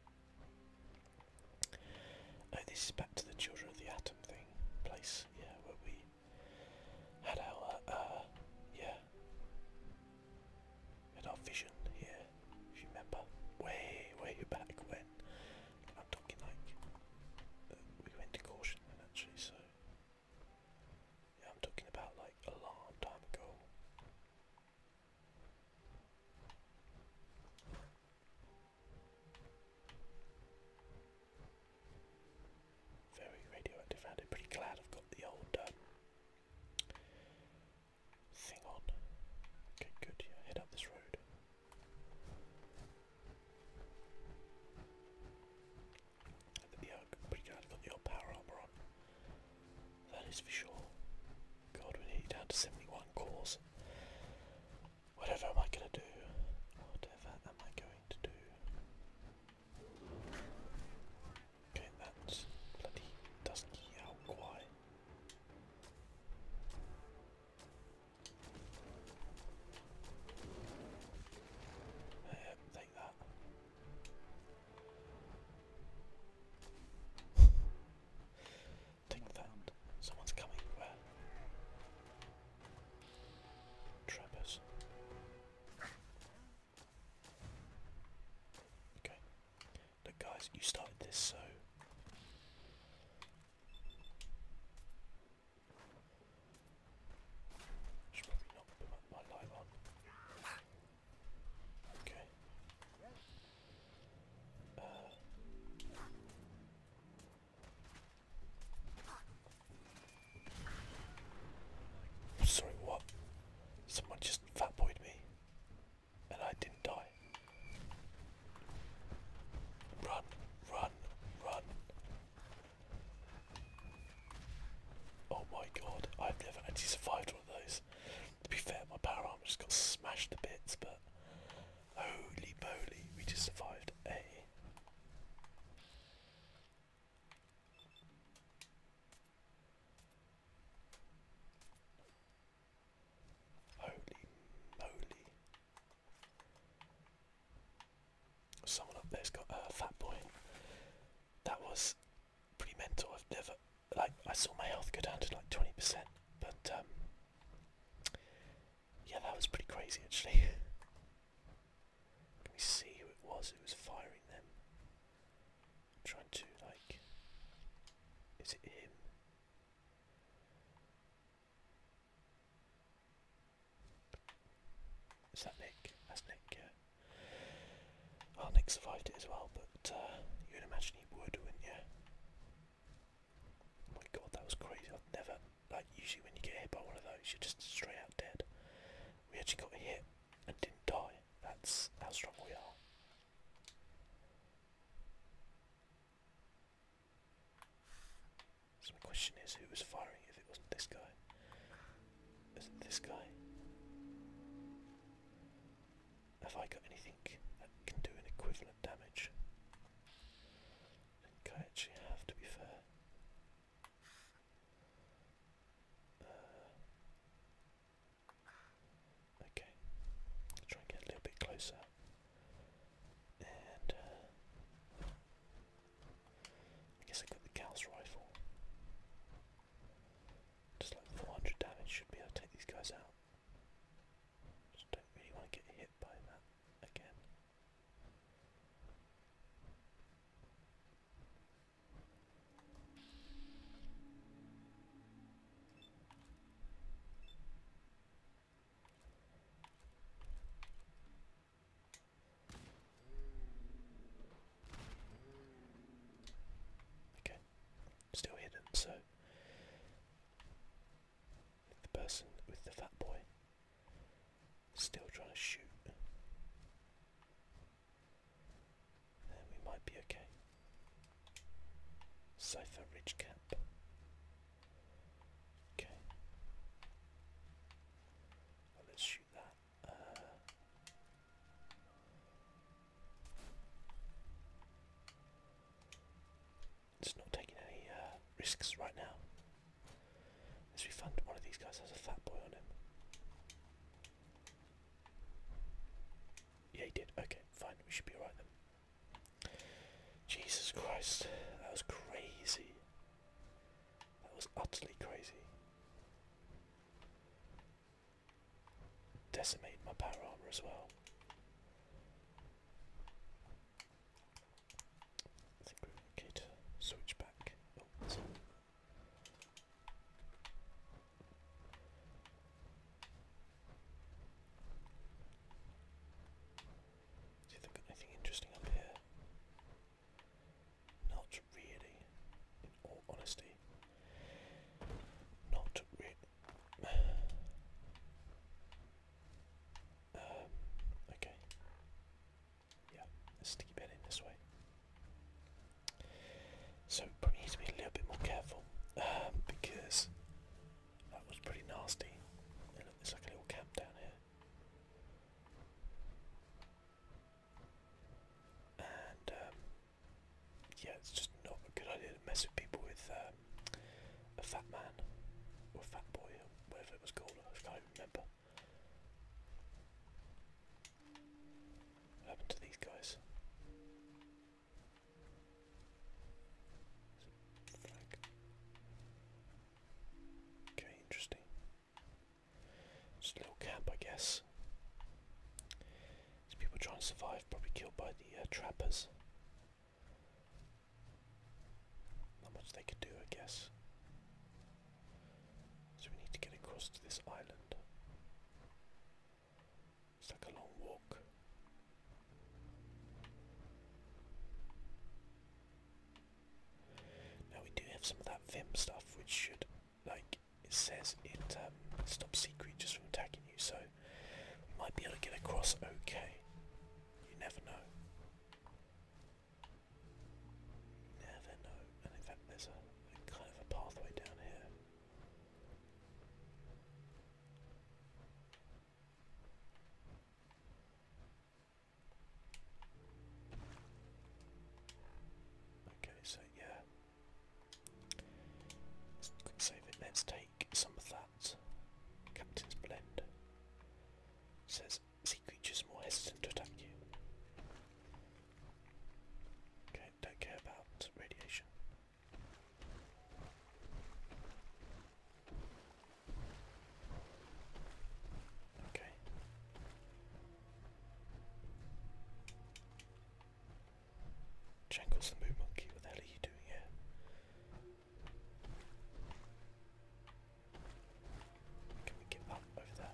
Oh, this is back to the Children of the Atom thing place, yeah, where we had our uh, yeah had our vision here, if you remember, way way back when. I'm talking like uh, we went to caution then so yeah, I'm talking about like a long time ago. Very radioactive I'm pretty glad I've got the old um, thing on. Okay, good. head up this road. pretty glad got the old power armor on. That is for sure. God, we're down to 71 cores. Whatever am I going to do? Whatever am I going to do? Okay, that's bloody dusky out quiet. take that. take that. Someone's coming. Where? Trappers. Okay. Look guys, you started this so probably not put my, my on. Okay. Uh, Sorry, what? Someone just fatboyed me, and I didn't die. Run, run, run. Oh my god, I've never actually survived one of those. To be fair, my power arm just got smashed to bits, but holy moly, we just survived a eh? Holy moly. Someone up there's got a fat boy. That was pretty mental. I've never like I saw my health go down to like 20%, but um yeah, that was pretty crazy actually. Let me see who it was who was firing them? I'm trying to like is it him? Is that Nick? That's Nick, yeah. Nick survived it as well, but uh, you would imagine he would, wouldn't you? Oh my god, that was crazy. I'd never, like, usually when you get hit by one of those, you're just straight out dead. We actually got hit and didn't die. That's how strong we are. So my question is, who was firing if it wasn't this guy? Is it this guy? Have I got anything that can do an equivalent damage? I I actually have, to be fair. Uh, okay, i try and get a little bit closer. And uh, I guess I got the Gauss rifle. Just like 400 damage, should be able to take these guys out. Just don't really want to get hit by that again. Okay, still hidden, so the person with the fat boy still trying to shoot. Then we might be okay. Sofa Ridge Camp. Okay. let's shoot that. Uh, it's not taking any uh, risks right now. Let's be One of these guys has a fat boy on him. Yeah, he did. Okay, fine. We should be alright then. Jesus Christ. That was crazy. That was utterly crazy. Decimated my power armor as well. I think we're okay to switch back. Oh, do you think anything interesting up here? Not really, in all honesty. Not really. Um, okay. Yeah, let's in this way. So probably need to be a little bit more careful um, because that was pretty nasty. And look, there's like a little camp down here. And um, yeah, it's just not a good idea to mess with people with um, a fat man or a fat boy or whatever it was called. I can't even remember. What happened to these guys? Okay, interesting. Just a little camp, I guess. These people trying to survive, probably killed by the uh, trappers. Not much they could do, I guess. So we need to get across to this island. It's like a long walk. Now we do have some of that Vim stuff which should, like it says, it um, sea creatures from attacking you, so might be able to get across okay. You never know. Never know. And in fact there's a kind of a pathway down here. Okay, so yeah. Let's save it. Let's take some of that. Captain's Blend says sea creatures more hesitant to attack you. Okay, don't care about radiation. Okay. Jankles the Moon Monkey, what the hell are you doing here? Can we get up over there?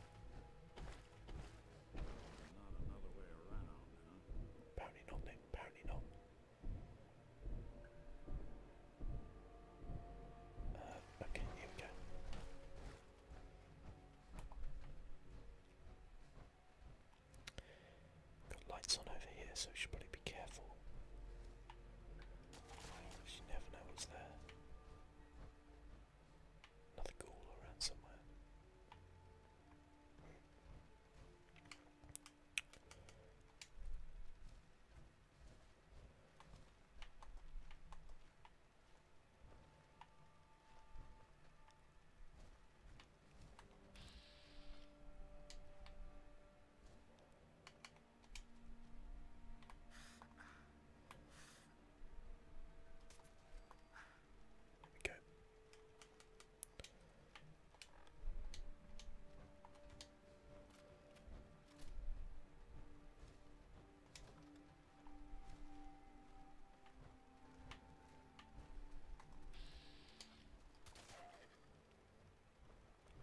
Not another Apparently not, Nick. Apparently not. Uh, okay, here we go. Got lights on over here, so we should probably be careful. You never know what's there. Another ghoul around somewhere.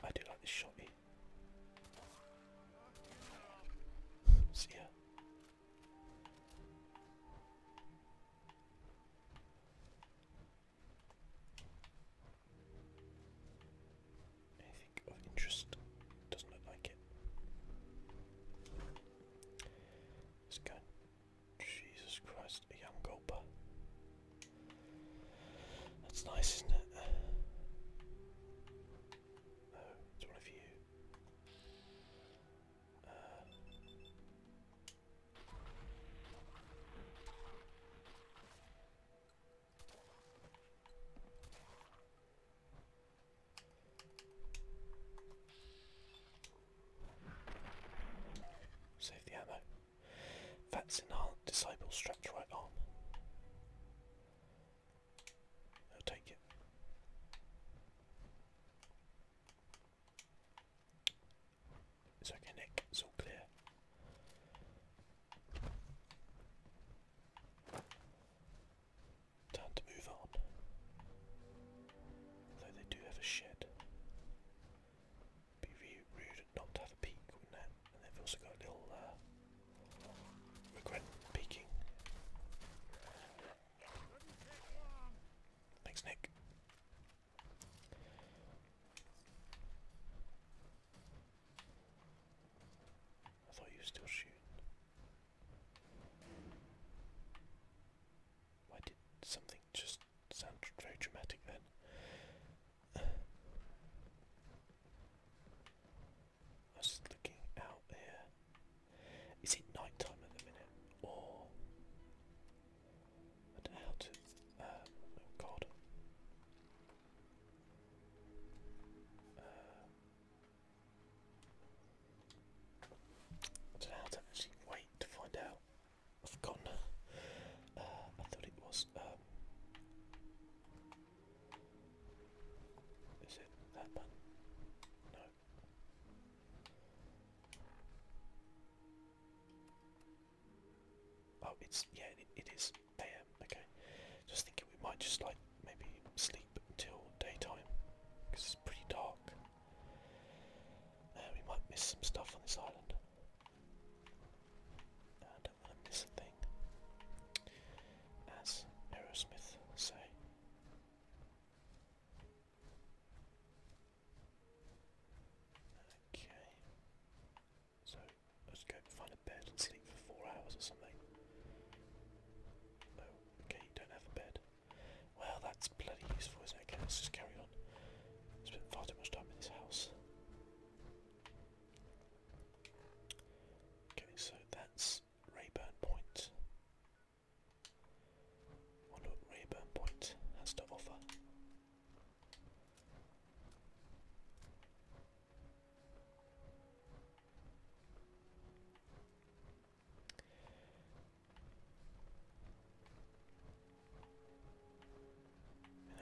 I do like this shotty. See ya. Anything of interest doesn't look like it. Let's go. Jesus Christ, a young gulper. That's nice, isn't it? Oh, it's one of you. Uh, Save the ammo. Fats in our disciple strapped right arm. I'll take it. It's okay, Nick. It's all clear. Time to move on. Though they do have a shed. Be rude not to have a peek, wouldn't it? And they've also got a little uh, regret peeking. Thanks, Nick. I thought you still shooting. Why did something just sound very dramatic I was looking out here. Is it night time at the minute? Or I don't know how to um, oh god. Uh, I do to actually wait to find out. I've forgotten. Uh, I thought it was. Um, is it that one? No. Oh, it's yeah, it is AM. Okay, just thinking we might just like maybe sleep until daytime because it's pretty dark. Uh, we might miss some stuff on this island. I don't want to miss a thing, as Aerosmith say. Okay. So let's go find a bed and sleep for four hours or something. Oh, okay, you don't have a bed. Well, that's bloody useful, isn't it? Okay, let's just carry on. I spent far too much time in this house. Okay, so that's Rayburn Point what Rayburn Point has to offer.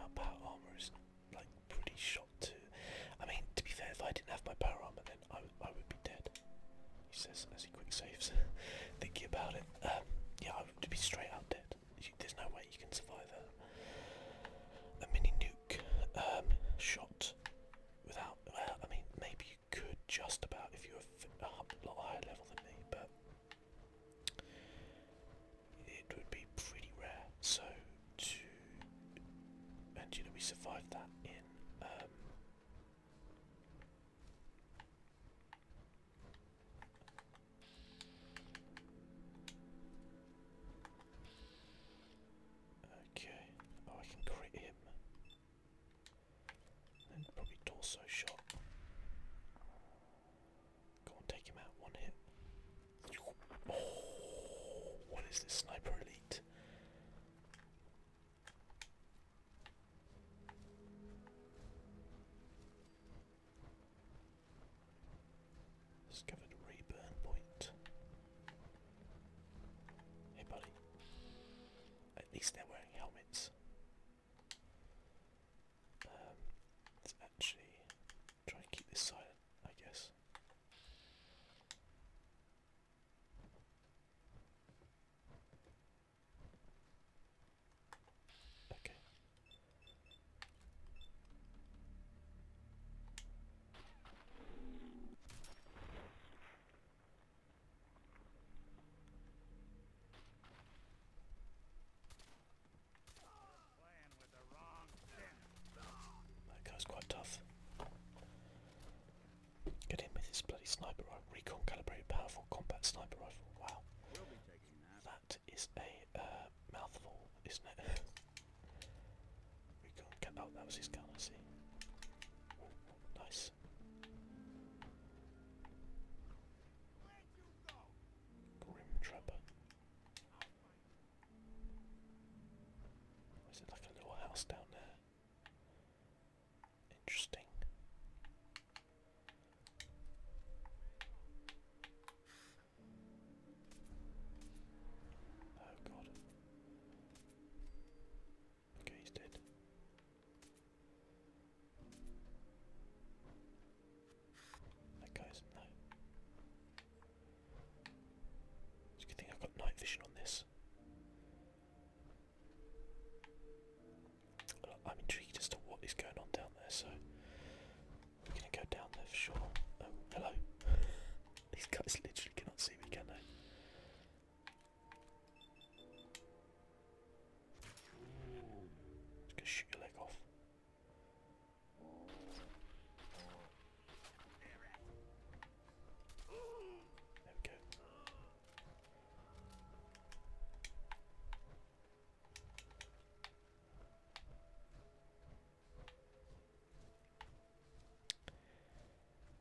our power armor is like pretty shot too. I mean, to be fair, if I didn't have my power armor, then I, I would be dead. He says quick saves. Thinking about it, um, yeah, I would be straight out dead. there's no way you can survive a, mini nuke um, shot without. Well, I mean, maybe you could just about if you were a lot higher level than me, but it would be pretty rare. So and you know we survived that in. Um, Okay. Oh, I can crit him. And probably torso shot. Go on, take him out. One hit. Oh, what is this sniper elite? Discovered Reburn Point. Hey, buddy. At least they're wearing helmets. Um, let's actually try and keep this silent, I guess. That guy's quite tough. Get in with this bloody sniper, rifle, Recon calibrated powerful combat sniper rifle. Wow, that is a uh, mouthful, isn't it? we can get. Oh, that was his gun. see. nice. Grim Trapper. Is it like a little house down there? Interesting. Oh god. Okay, he's dead. That guy's no. It's a good thing I've got night vision on this. I'm intrigued as to what is going on down there, so we're gonna go down there for sure. Oh, hello. These guys literally cannot see me, can they? Just shoot your leg off. There we go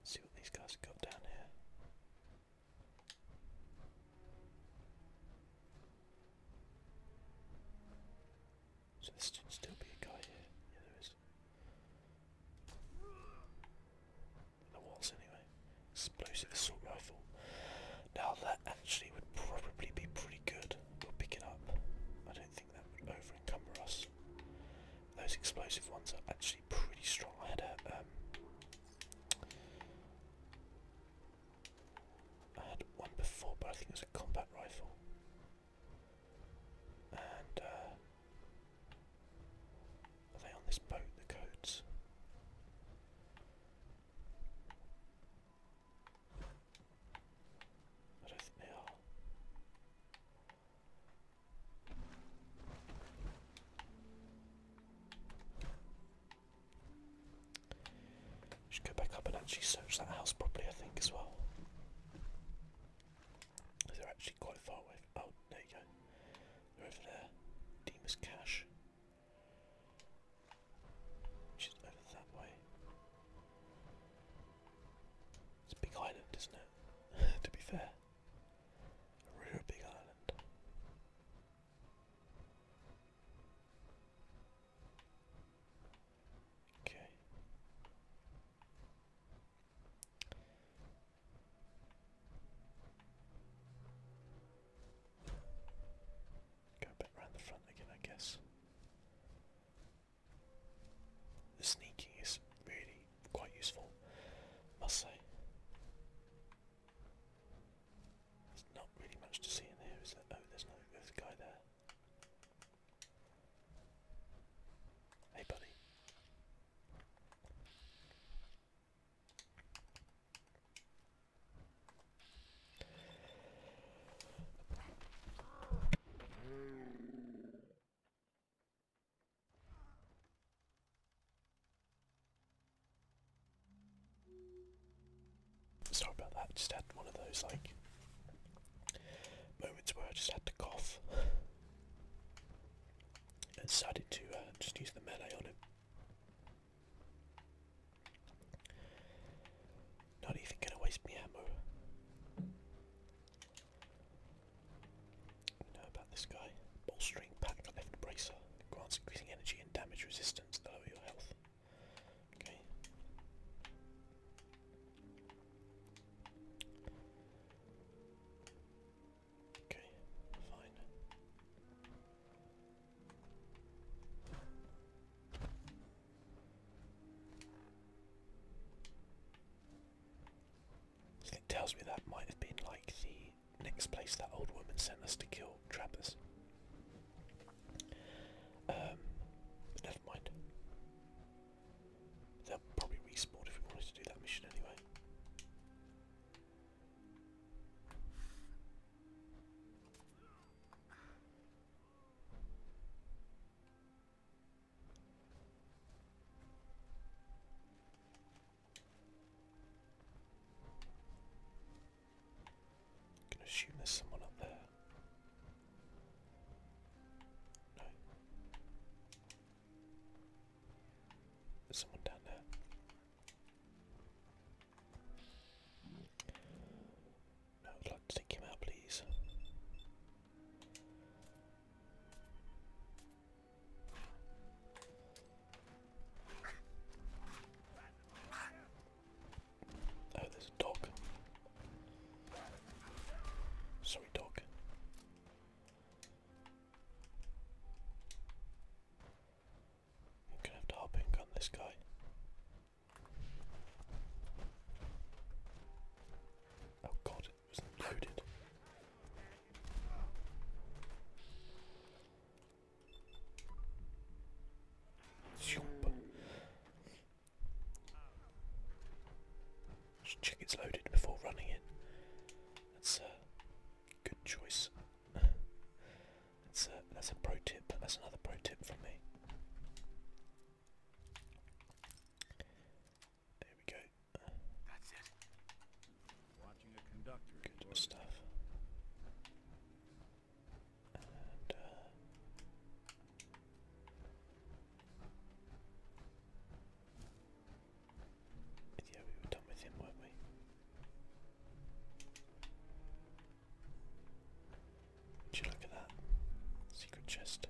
see what these guys have got down here. So there should still be a guy here. Yeah, there is. The walls, anyway. Explosive assault rifle. Now that actually would probably be pretty good. for picking up. I don't think that would overencumber us. Those explosive ones are actually pretty strong. I had a um, had one before, but I think it was a combat rifle. And uh, are they on this boat? The codes. What is now? Should go back up and actually search that house properly, I think, as well. They're actually quite far away. Oh, there you go. They're over there. Demas Cash. Just over that way. It's a big island, isn't it? to be fair. A big island. Okay. Go a bit the front again, I guess. The sneaking is really quite useful, must say. There's not really much to see in here, is there? Oh, there's no a guy there. Hey, buddy. Sorry about that, just had one of those like moments where I just had to cough and decided to uh, just use the melee on him. Not even gonna waste me ammo. know about this guy. Bolstering pack left bracer. Grants increasing energy and damage resistance to lower your health. Okay. Okay, fine. It tells me that might have been like the next place that old woman sent us to kill trappers. Um, never mind. They'll probably respawn if we wanted to do that mission anyway. I can assume there's someone up there. No. There's someone down there. I'd like to take him out, please. Oh, there's a dog. Sorry, dog. I'm gonna have to hop in gun this guy. Oh god, it was loaded. Just check it's loaded before running it. That's a good choice. That's a, that's a pro tip. That's another pro tip from me. There we go. That's it. Good stuff. Uh, yeah, we were done with him, weren't we? Would you look at that? Secret chest.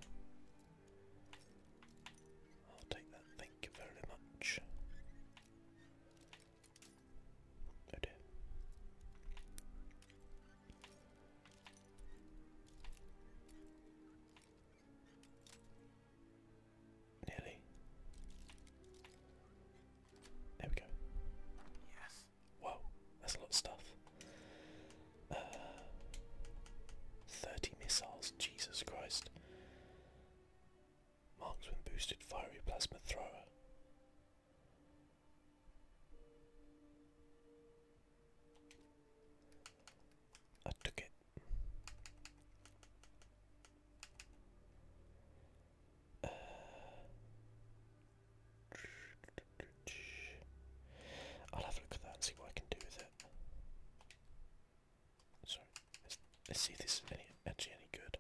I'll take that, thank you very much. Oh, there we go. Yes. Wow, that's a lot of stuff. Uh, 30 missiles, Jesus Christ. Marksman boosted fiery plasma thrower. I took it. I'll have a look at that and see what I can do with it. Sorry, let's, see if this is any, actually any good.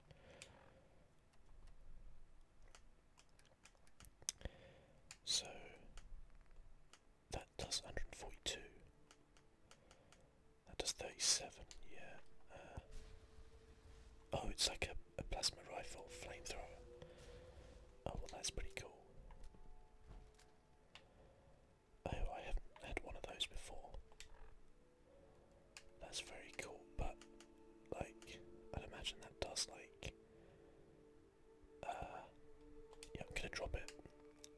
So that does 142. That does 37, yeah. Uh, oh, it's like a a plasma rifle, flamethrower. Oh, well, that's pretty cool. Oh, I haven't had one of those before. That's very cool, but, like, I'd imagine that does, like, uh, yeah, I'm gonna drop it.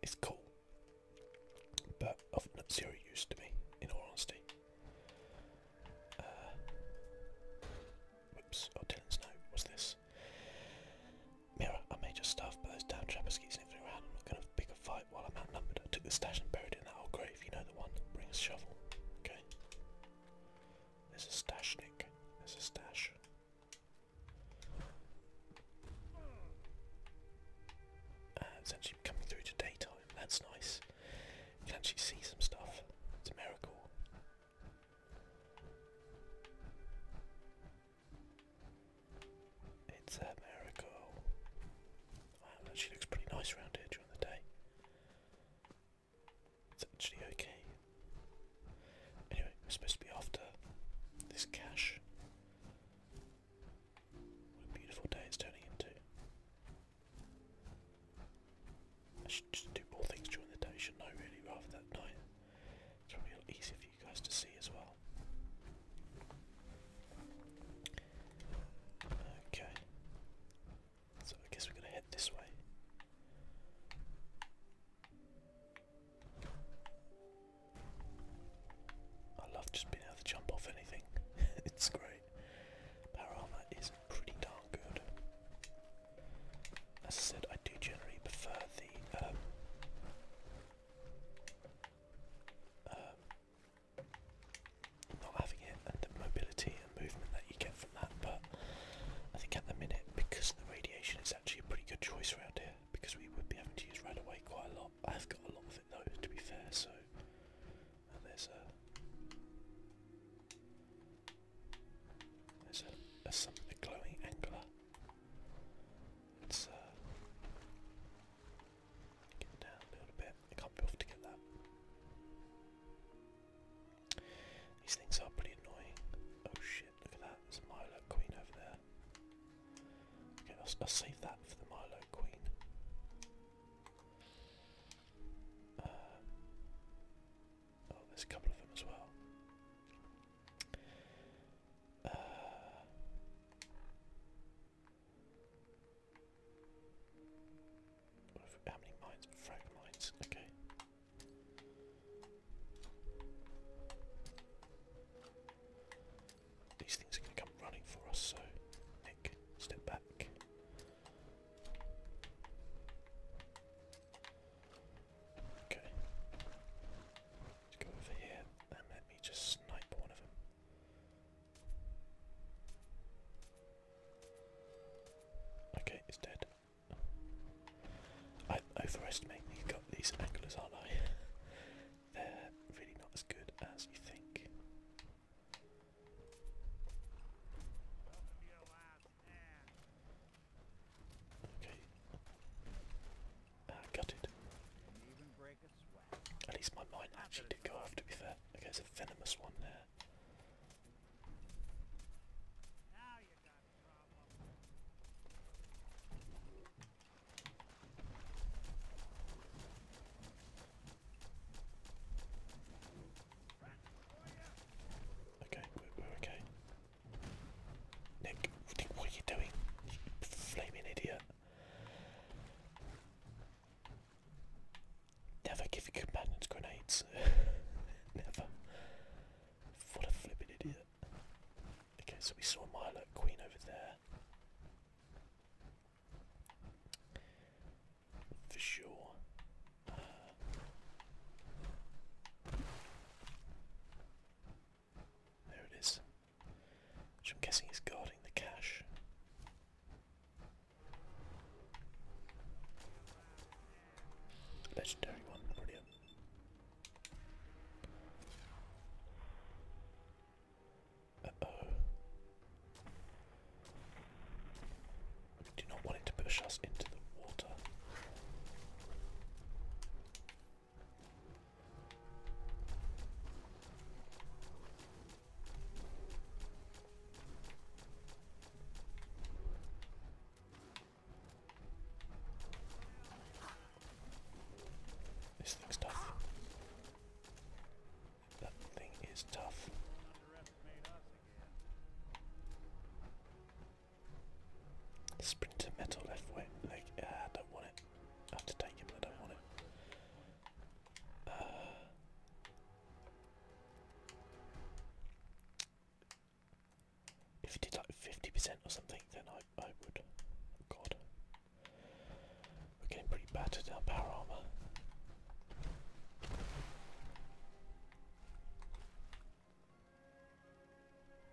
It's cool, but not zero use to me, in all honesty whoops, uh, oh Dylan's note, what's this? Mirror, I may just starve, but those damn trappers keep sniffing around. I'm not going to pick a fight while I'm outnumbered. took the stash and buried in that old grave, you know the one. Bring a shovel, okay? There's a stash, Nick. There's a stash. Uh, coming through to daytime, that's nice. You can actually see some stuff. It's a miracle. It's a miracle. Wow, it actually looks pretty nice around here during the day. It's actually okay. Anyway, we're supposed to be after this cache. What a beautiful day it's turning into. I should do more things during the day, should I really, rather than night? It's probably easier for you guys to see as well. Okay. So I guess we're going to head this way. I love just being able to jump off anything. it's great. Power armor is pretty darn good. As I said, I do generally prefer the um, um, not having it and the mobility and movement that you get from that, but I think at the minute, because of the radiation, it's actually a pretty good choice around here because we would be having to use right away quite a lot. I've got a lot of it though, to be fair, so. there's a. There's a, a glowing angler. Let's uh, get down a little bit. I can't be off to get that. These things are pretty annoying. Oh shit! Look at that. There's a Milo Queen over there. Okay, I'll, save that for the Milo Queen. Uh, Oh, there's a couple of them as well. Uh, how many mines? Frag mines, okay. These things are going to come running for us, so Nick, step back. Okay. Let's go over here and let me just snipe one of them. Okay, it's dead. I'm these anglers, aren't I? They're really not as good as you think. Okay. Uh, got it. At least my mind actually did go off to be fair. Okay, there's a venomous one there. Okay, we're, okay. Nick, what are you doing? flaming idiot. Never give your companions grenades. Never. What a flipping idiot. Okay, so we saw Milo Queen over there for sure. there it is. Which I'm guessing is guarding the cache. Legendary one, brilliant. Uh oh. We do not want it to push us into the water. This thing's tough. That thing is tough. Sprinter metal left way. leg. I don't want it. I have to take it, but I don't want it. Uh, if you did like fifty percent or something, then I I would. God, we're getting pretty battered in power armor.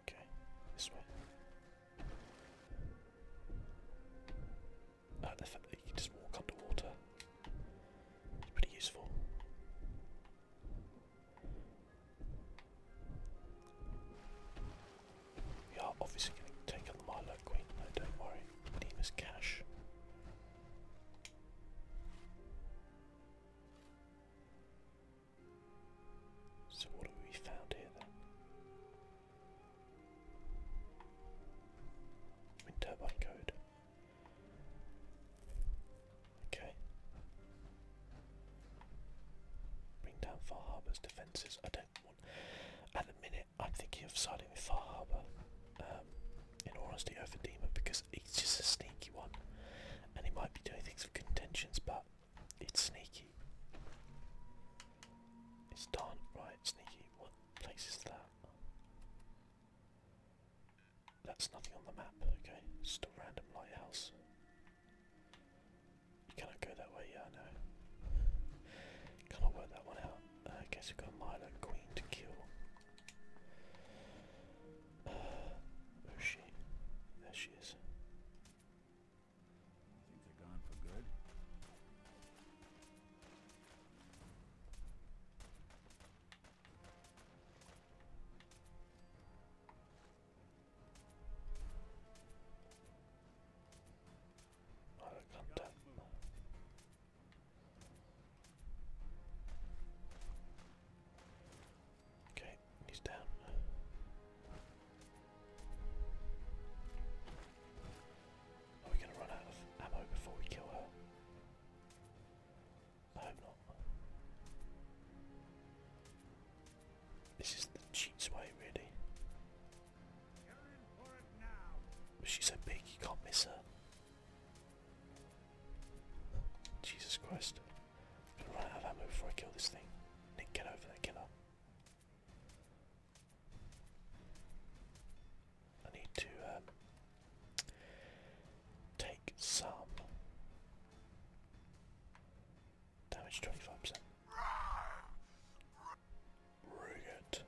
Okay, this way. Uh, the you just walk underwater is pretty useful. We are obviously going to take on Milo Queen, though, don't worry. Demas Cash. So what do we found here then? Wind turbine code. Okay. Bring down Far Harbour's defences. I don't want. At the minute, I'm thinking of siding with Far Harbour. Um, in all honesty, over Dima because he's just a sneaky one, and he might be doing things for contentions, but it's sneaky. It's darn right sneaky. What place is that? That's nothing on the map. Okay, it's just a random lighthouse. You cannot go that way. Yeah, I know. Cannot work that one out. I guess we've got Milo Queen to kill. There she is. You think they're gone for good? Out of contact. Okay, he's down. Are we going to run out of ammo before we kill her? I hope not. This is the cheats way, really. she's so big, you can't miss her. Jesus Christ. I'm gonna run out of ammo before I kill this thing. Nick, get over there, killer. I need to um, take some damage 25%. Rugged.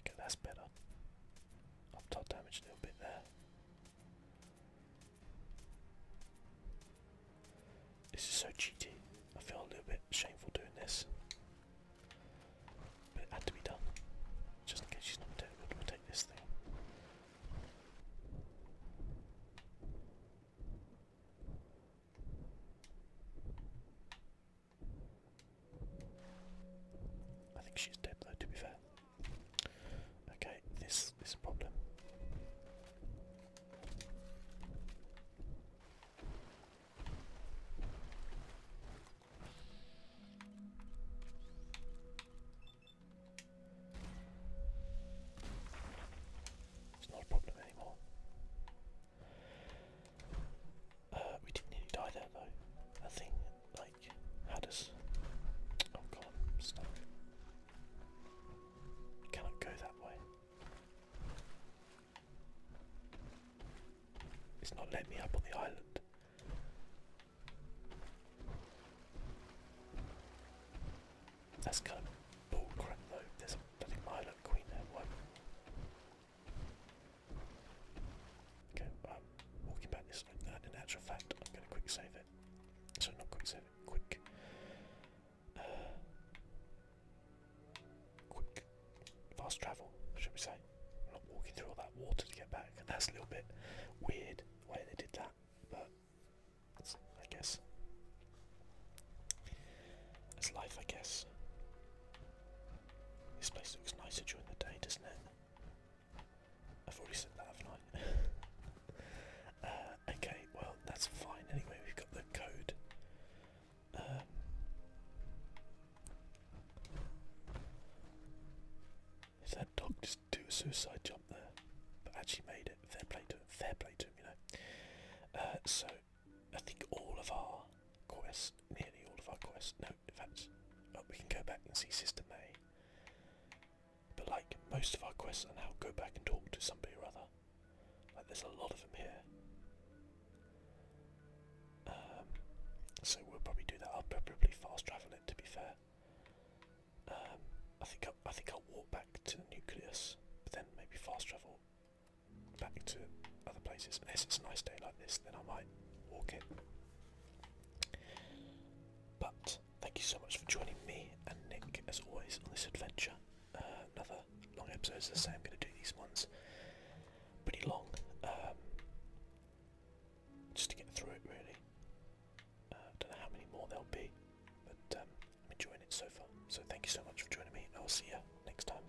Okay, that's better. Up top damage a little bit there. This is so cheaty. I feel a little bit shameful doing this. But it had to be done. Just in case she's not dead, we'll take this thing. I think she's dead though to be fair. Okay, this is problem. It's not a problem anymore. Uh, we didn't nearly die there though. That thing like had us. Oh god, i cannot go that way. It's not letting me up on the island. That's kind of bullcrap though. There's a bloody Milo Queen there. Okay, I'm walking back this like that. In fact, I'm going to quick save it. So not quick save it, quick. quick, fast travel, should we say? i not walking through all that water to get back, that's a little bit weird the way they did that, but I guess. It's life, I guess. This place looks nicer during the day, doesn't it? I've already said that, uh, okay, well, that's fine. Anyway, we've got the code. Um, that dog just do a suicide jump there, but actually made it, fair play to him, fair play to him, you know. Uh, so, I think all of our quests, nearly all of our quests, no, defense. Oh, we can go back and see Sister May. But like most of our quests are now go back and talk to somebody or other. Like there's a lot of them here. Um, so we'll probably do that. I'll probably fast travel it. To be fair, um, I think I'll, I think I'll walk back to the nucleus, but then maybe fast travel back to other places. if it's a nice day like this, then I might walk it. But thank you so much for joining me and Nick, as always, on this adventure. Uh, another long episode, as I say, I'm going to do these ones pretty long, um, just to get through it really. Uh, I don't know how many more there'll be, but um, I'm enjoying it so far. So thank you so much for joining me, and I'll see you next time.